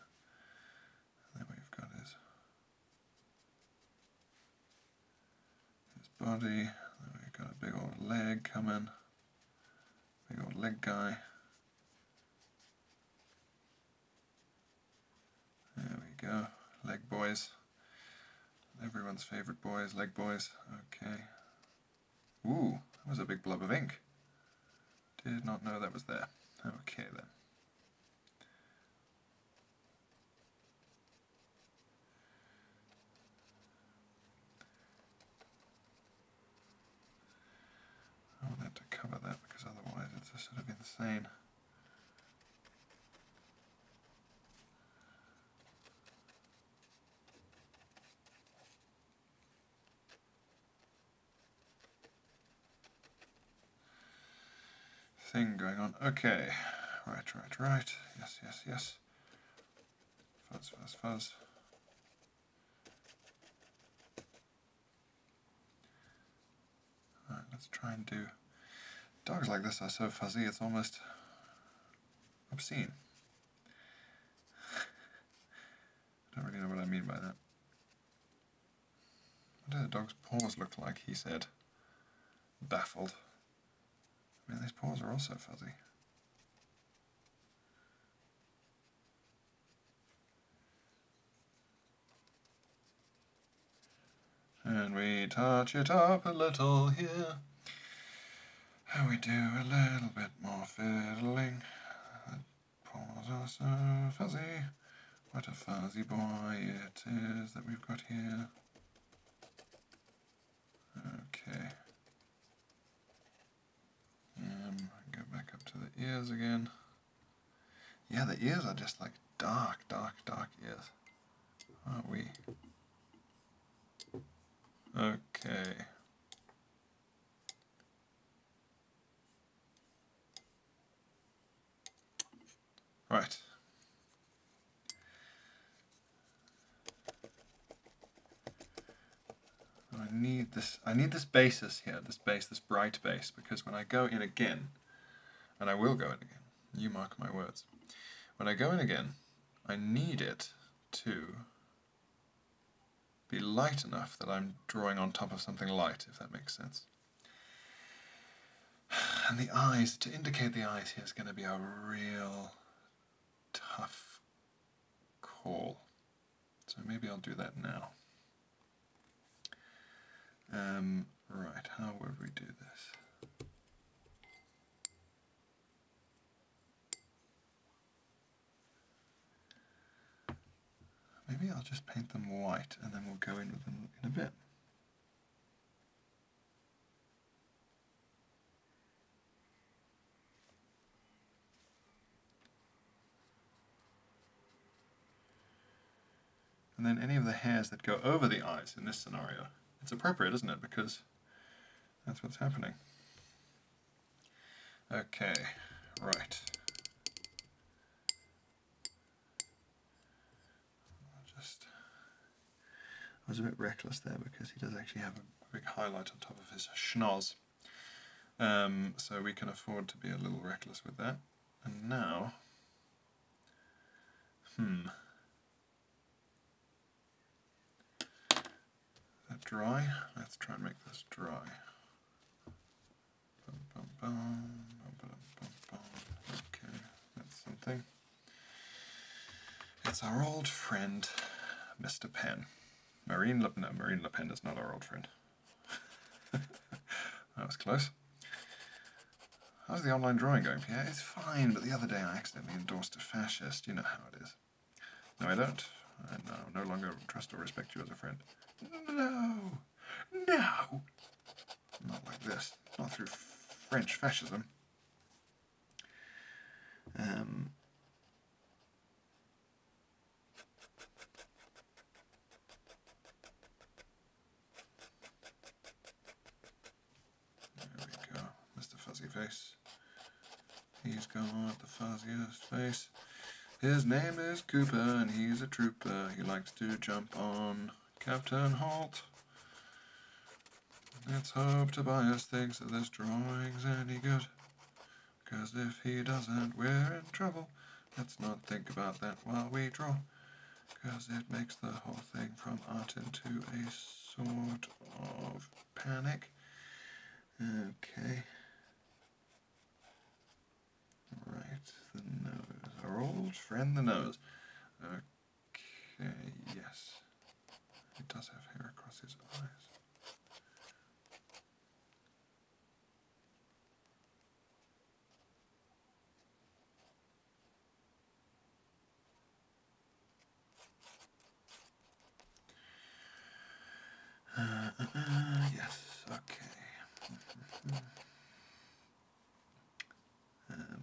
And then we've got his his body. We've got a big old leg coming. Big old leg guy. There we go. Leg boys. Everyone's favorite boys, leg boys. Okay. Ooh, that was a big blob of ink. Did not know that was there. Okay then. I wanted to cover that because otherwise it's just sort of insane. thing going on. Okay, right, right, right. Yes, yes, yes. Fuzz, fuzz, fuzz. let's try and do... Dogs like this are so fuzzy, it's almost obscene. I don't really know what I mean by that. What do the dog's paws look like, he said, baffled. I these paws are also fuzzy. And we touch it up a little here. And we do a little bit more fiddling. The paws are so fuzzy. What a fuzzy boy it is that we've got here. Okay. Um, go back up to the ears again. Yeah, the ears are just like dark, dark, dark ears. Aren't we? Okay. Right. I need this I need this basis here, this base, this bright base, because when I go in again, and I will go in again, you mark my words. When I go in again, I need it to be light enough that I'm drawing on top of something light, if that makes sense. And the eyes, to indicate the eyes here is going to be a real tough Call. So maybe I'll do that now. Um, right, how would we do this? Maybe I'll just paint them white and then we'll go in with them in a bit. And then any of the hairs that go over the eyes in this scenario, it's appropriate, isn't it? Because that's what's happening. Okay, right. I was a bit reckless there because he does actually have a a big highlight on top of his schnoz. Um, so we can afford to be a little reckless with that. And now, hmm, dry. Let's try and make this dry. Okay, that's something. It's our old friend, Mr. Pen. Marine Le Marine Le Pen is not our old friend. that was close. How's the online drawing going? Pierre? it's fine, but the other day I accidentally endorsed a fascist. You know how it is. No, I don't. I no longer trust or respect you as a friend. No! No! Not like this. Not through French fascism. Um, there we go, Mr. Fuzzy Face. He's got the fuzziest face. His name is Cooper and he's a trooper. He likes to jump on Captain Holt. Let's hope Tobias thinks that this drawing's any good. Because if he doesn't, we're in trouble. Let's not think about that while we draw. Because it makes the whole thing from art into a sort of panic. Okay. Right, the nose. Our old friend the nose. Okay, yes. He does have hair across his eyes. Uh, uh, uh, yes, okay. um,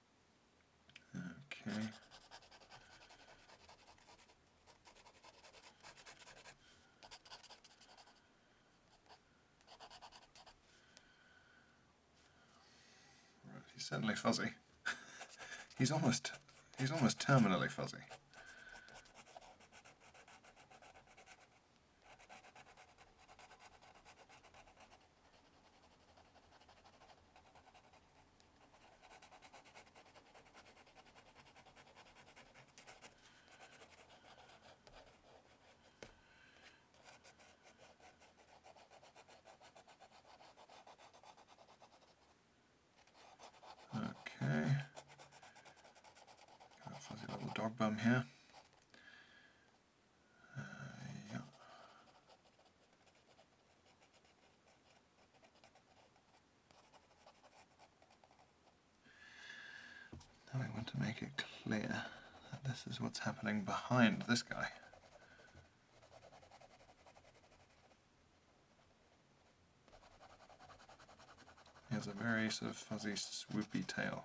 Okay. he's certainly fuzzy. he's almost he's almost terminally fuzzy. Okay. fuzzy little dog bum here. Uh, yeah. Now we want to make it clear that this is what's happening behind this guy. He has a very sort of fuzzy swoopy tail.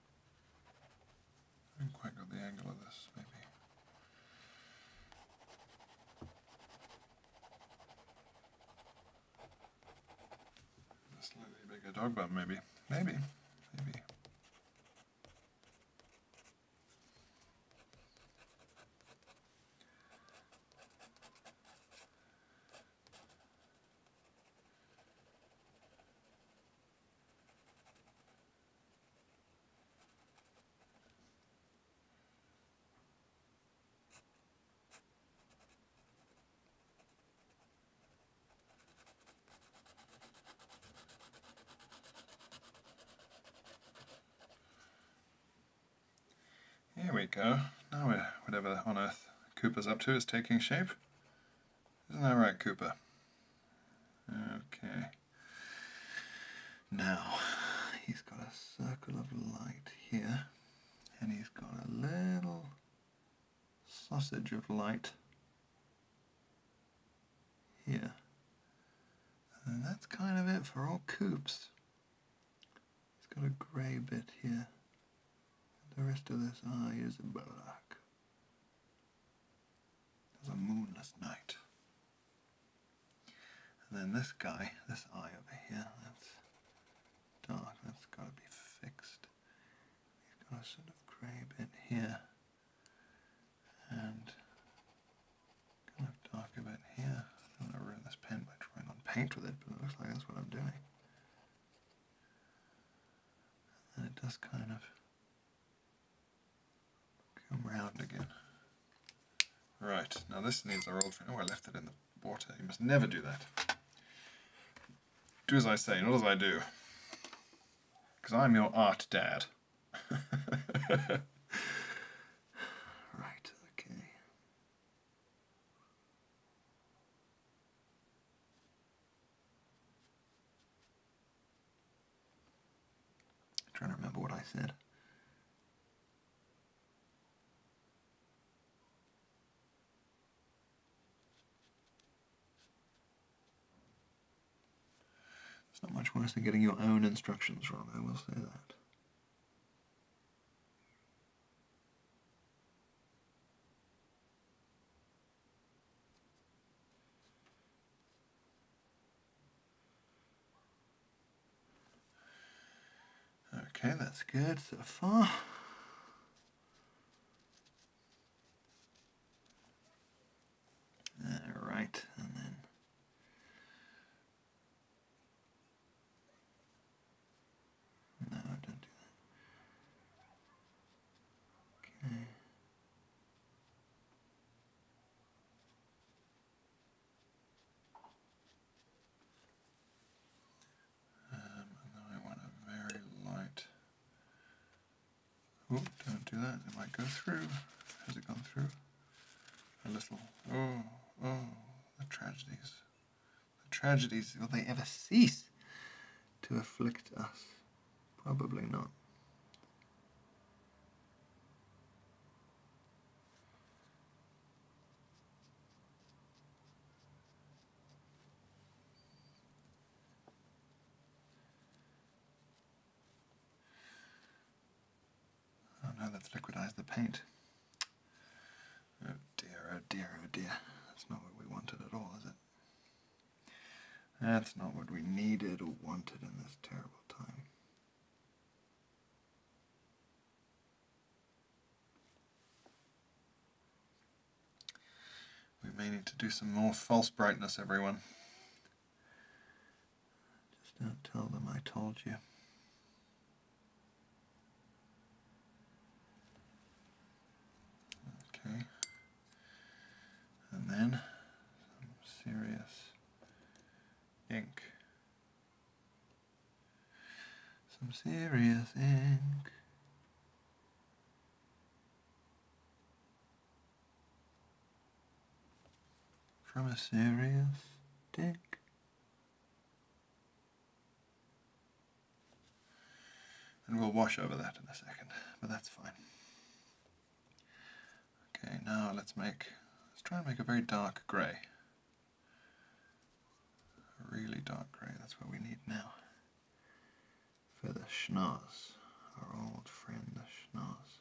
I haven't quite got the angle of this, maybe. A slightly bigger dog bum, maybe. Maybe. Maybe. Here we go. Now whatever on earth Cooper's up to is taking shape. Isn't that right, Koopa? Okay. Now, he's got a circle of light here, and he's got a little sausage of light here. And that's kind of it for all coops. He's got a grey bit here. The rest of this eye is black. It's a moonless night. And then this guy, this eye over here, that's dark, that's got to be fixed. You've got a sort of grey bit here, and kind of dark bit here. I am going to ruin this pen by trying on paint with it, but it looks like that's what I'm doing. And it does kind of Come round again. Right, now this needs our old friend. Oh, I left it in the water. You must never do that. Do as I say, not as I do. Because I'm your art dad. right, okay trying to remember what I said. It's not much worse than getting your own instructions wrong, I will say that. Okay, that's good so far. All right, and then no, don't do that. Okay. Um, I want a very light. Oh, don't do that. It might go through. Has it gone through? A little. Oh, oh, the tragedies. The tragedies, will they ever cease to afflict us? Probably not. Oh no, let's the paint. Oh dear, oh dear, oh dear. That's not what we wanted at all, is it? That's not what we needed or wanted in this terrible time. We may need to do some more false brightness, everyone. Just don't tell them I told you. Okay and then some serious ink. Some serious ink. From a serious dick. And we'll wash over that in a second, but that's fine. Okay, now let's make, let's try and make a very dark grey. A really dark grey, that's what we need now. For the schnoz, our old friend the schnoz.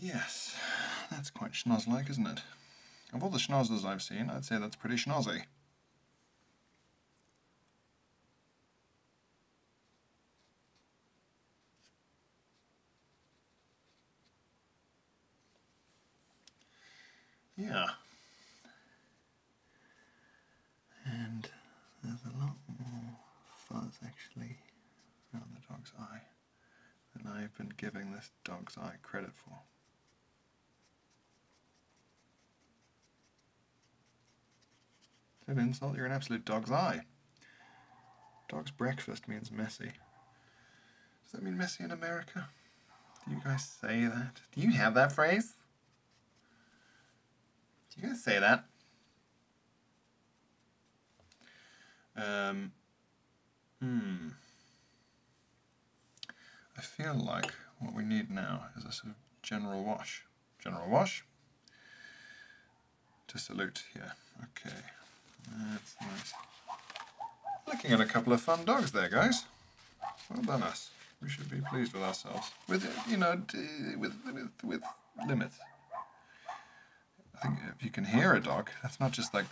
Yes, that's quite schnoz-like, isn't it? Of all the schnozzers I've seen, I'd say that's pretty schnozzy. Yeah. And there's a lot more fuzz actually around the dog's eye than I've been giving this dog's eye credit for. An insult, you're an absolute dog's eye. Dog's breakfast means messy. Does that mean Messi in America? Do you guys say that? Do you have that phrase? Do you guys say that? Um, hmm. I feel like what we need now is a sort of general wash. General wash. To salute here. Okay. That's nice. Looking at a couple of fun dogs there, guys. Well done us. We should be pleased with ourselves. With, you know, with, with, with limits. I think if you can hear a dog, that's not just like...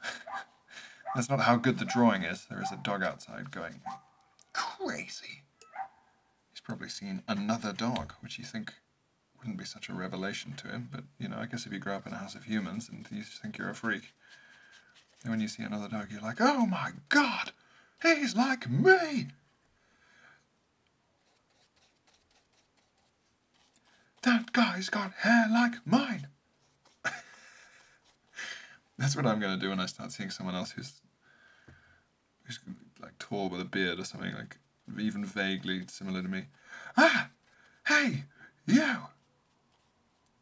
that's not how good the drawing is. There is a dog outside going crazy. He's probably seen another dog, which you think wouldn't be such a revelation to him, but, you know, I guess if you grow up in a house of humans and you think you're a freak, and when you see another dog, you're like, oh my god, he's like me! That guy's got hair like mine! That's what I'm gonna do when I start seeing someone else who's who's like tall with a beard or something, like even vaguely similar to me. Ah! Hey! You!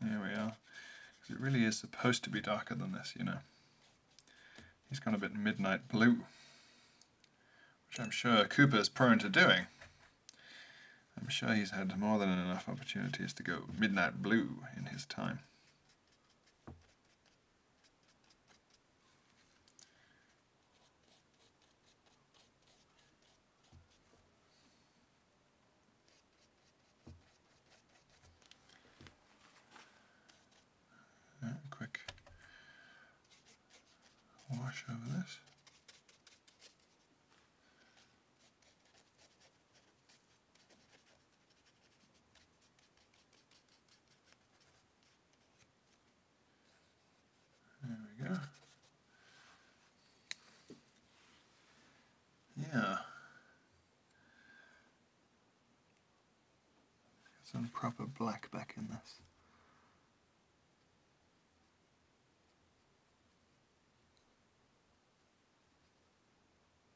There we are. Because it really is supposed to be darker than this, you know. He's gone a bit midnight blue, which I'm sure Cooper is prone to doing. I'm sure he's had more than enough opportunities to go midnight blue in his time quick wash over this. There we go. Yeah. Some proper black back in this.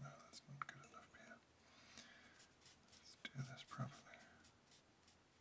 No, that's not good enough here. Let's do this properly.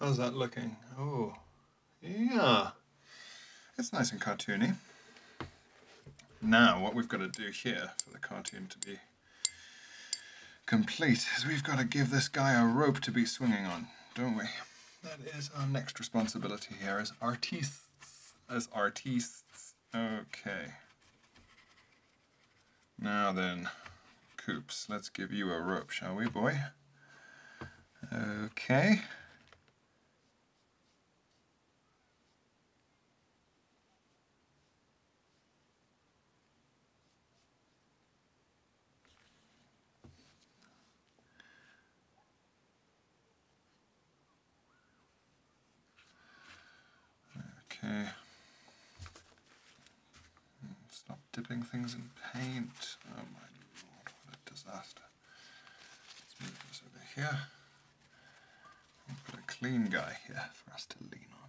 How's that looking? Oh, yeah. It's nice and cartoony. Now, what we've got to do here for the cartoon to be complete is we've got to give this guy a rope to be swinging on, don't we? That is our next responsibility here as artists. As artists. Okay. Now then, Coops, let's give you a rope, shall we, boy? Okay. Okay. Stop dipping things in paint. Oh my lord, what a disaster. Let's move this over here. put a clean guy here for us to lean on.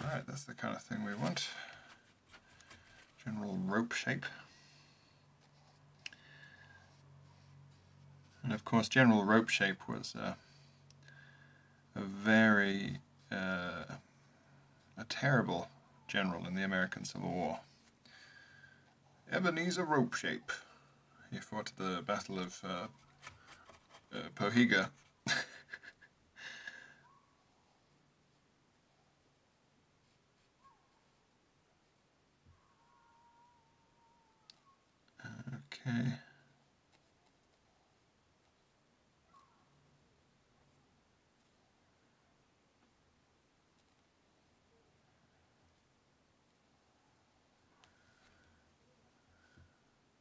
Alright, that's the kind of thing we want. General rope shape. And of course, general rope shape was uh, a very, uh, a terrible general in the American Civil War. Ebenezer Rope Shape he fought the Battle of uh, uh okay.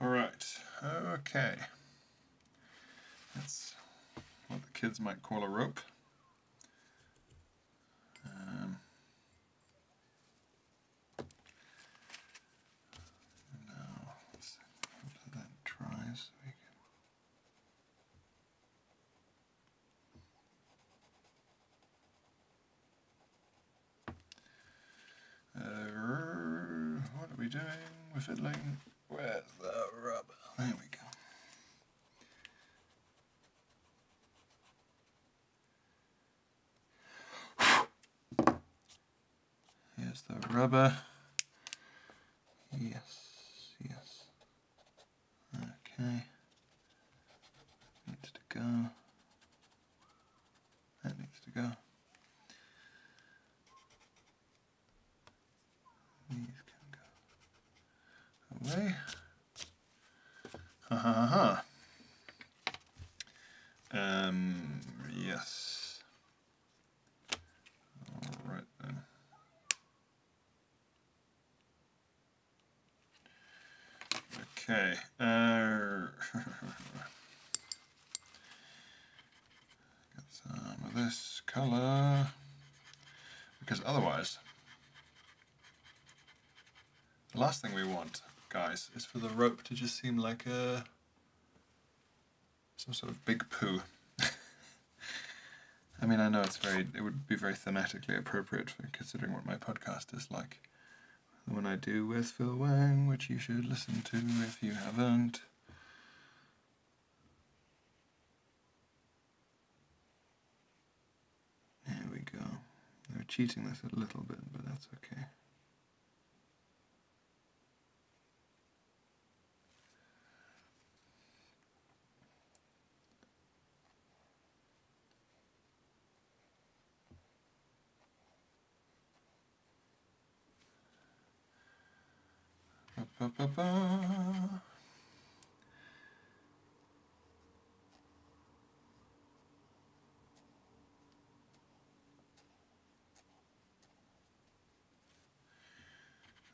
All right, okay. That's what the kids might call a rope. Um, now, that dries. we can uh, what are we doing with fiddling? Where's the rubber? There we go. Here's the rubber. Yes, yes. Okay. Needs to go. That needs to go. These can go away. Ha ha Um, yes. Alright then. Okay. Uh, get some of this color. Because otherwise, the last thing we want, guys, is for the rope to just seem like a uh, some sort of big poo. I mean, I know it's very, it would be very thematically appropriate for considering what my podcast is like. The one I do with Phil Wang, which you should listen to if you haven't. There we go. They're cheating this a little bit, but that's okay. Ba, ba, ba.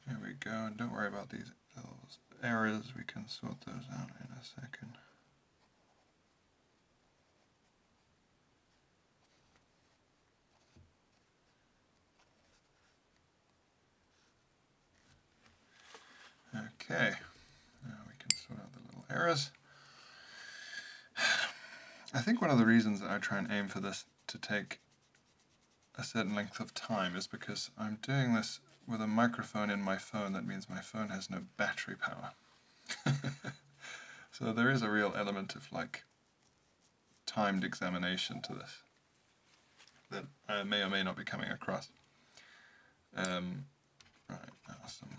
There we go, don't worry about these those errors, we can sort those out in a second. Okay, now we can sort out the little errors. I think one of the reasons that I try and aim for this to take a certain length of time is because I'm doing this with a microphone in my phone. That means my phone has no battery power. so there is a real element of like timed examination to this that may or may not be coming across. Um, right, awesome.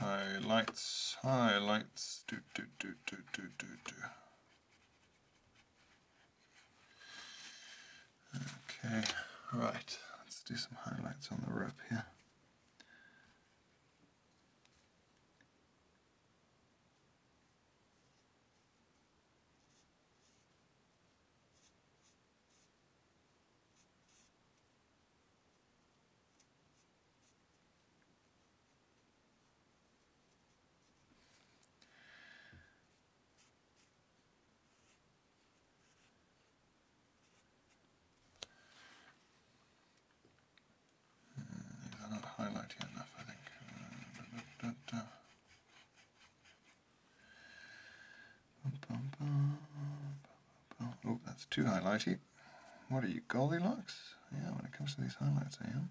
Highlights, highlights, do do do do do do do. Okay, right, let's do some highlights on the rope here. These hmm, are not highlighting enough, I think. Oh, that's too highlighty. What are you, Goldilocks? Yeah, when it comes to these highlights, I am.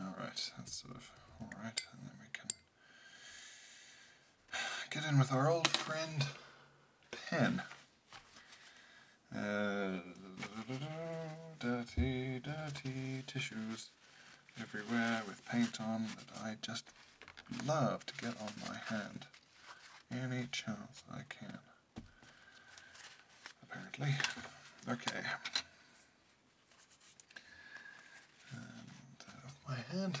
Alright, that's sort of alright, and then we can get in with our old friend pen. Uh, dirty, dirty tissues everywhere with paint on that I just love to get on my hand. Any chance I can. Apparently. Okay. Uh, my hand.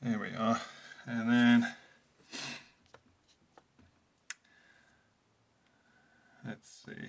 There we are. And then let's see.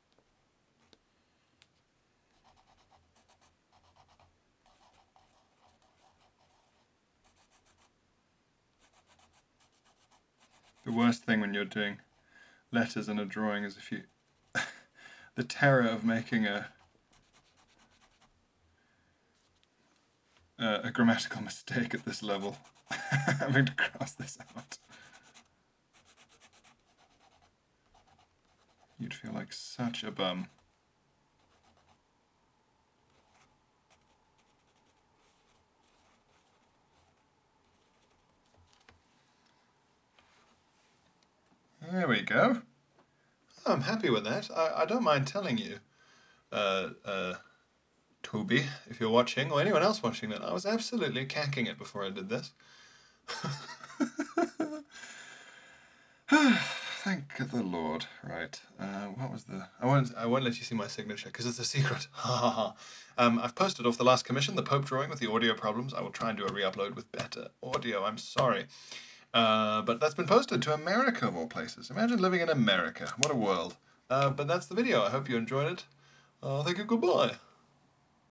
The worst thing when you're doing letters and a drawing is if you... the terror of making a uh, a grammatical mistake at this level, having to cross this out. You'd feel like such a bum. There we go. I'm happy with that. I, I don't mind telling you, uh, uh, Toby, if you're watching, or anyone else watching that, I was absolutely cacking it before I did this. Thank the Lord. Right. Uh, what was the? I won't. I won't let you see my signature because it's a secret. Um, I've posted off the last commission, the Pope drawing with the audio problems. I will try and do a re-upload with better audio. I'm sorry, uh, but that's been posted to America of all places. Imagine living in America. What a world. Uh, but that's the video. I hope you enjoyed it. Uh, thank you. Goodbye.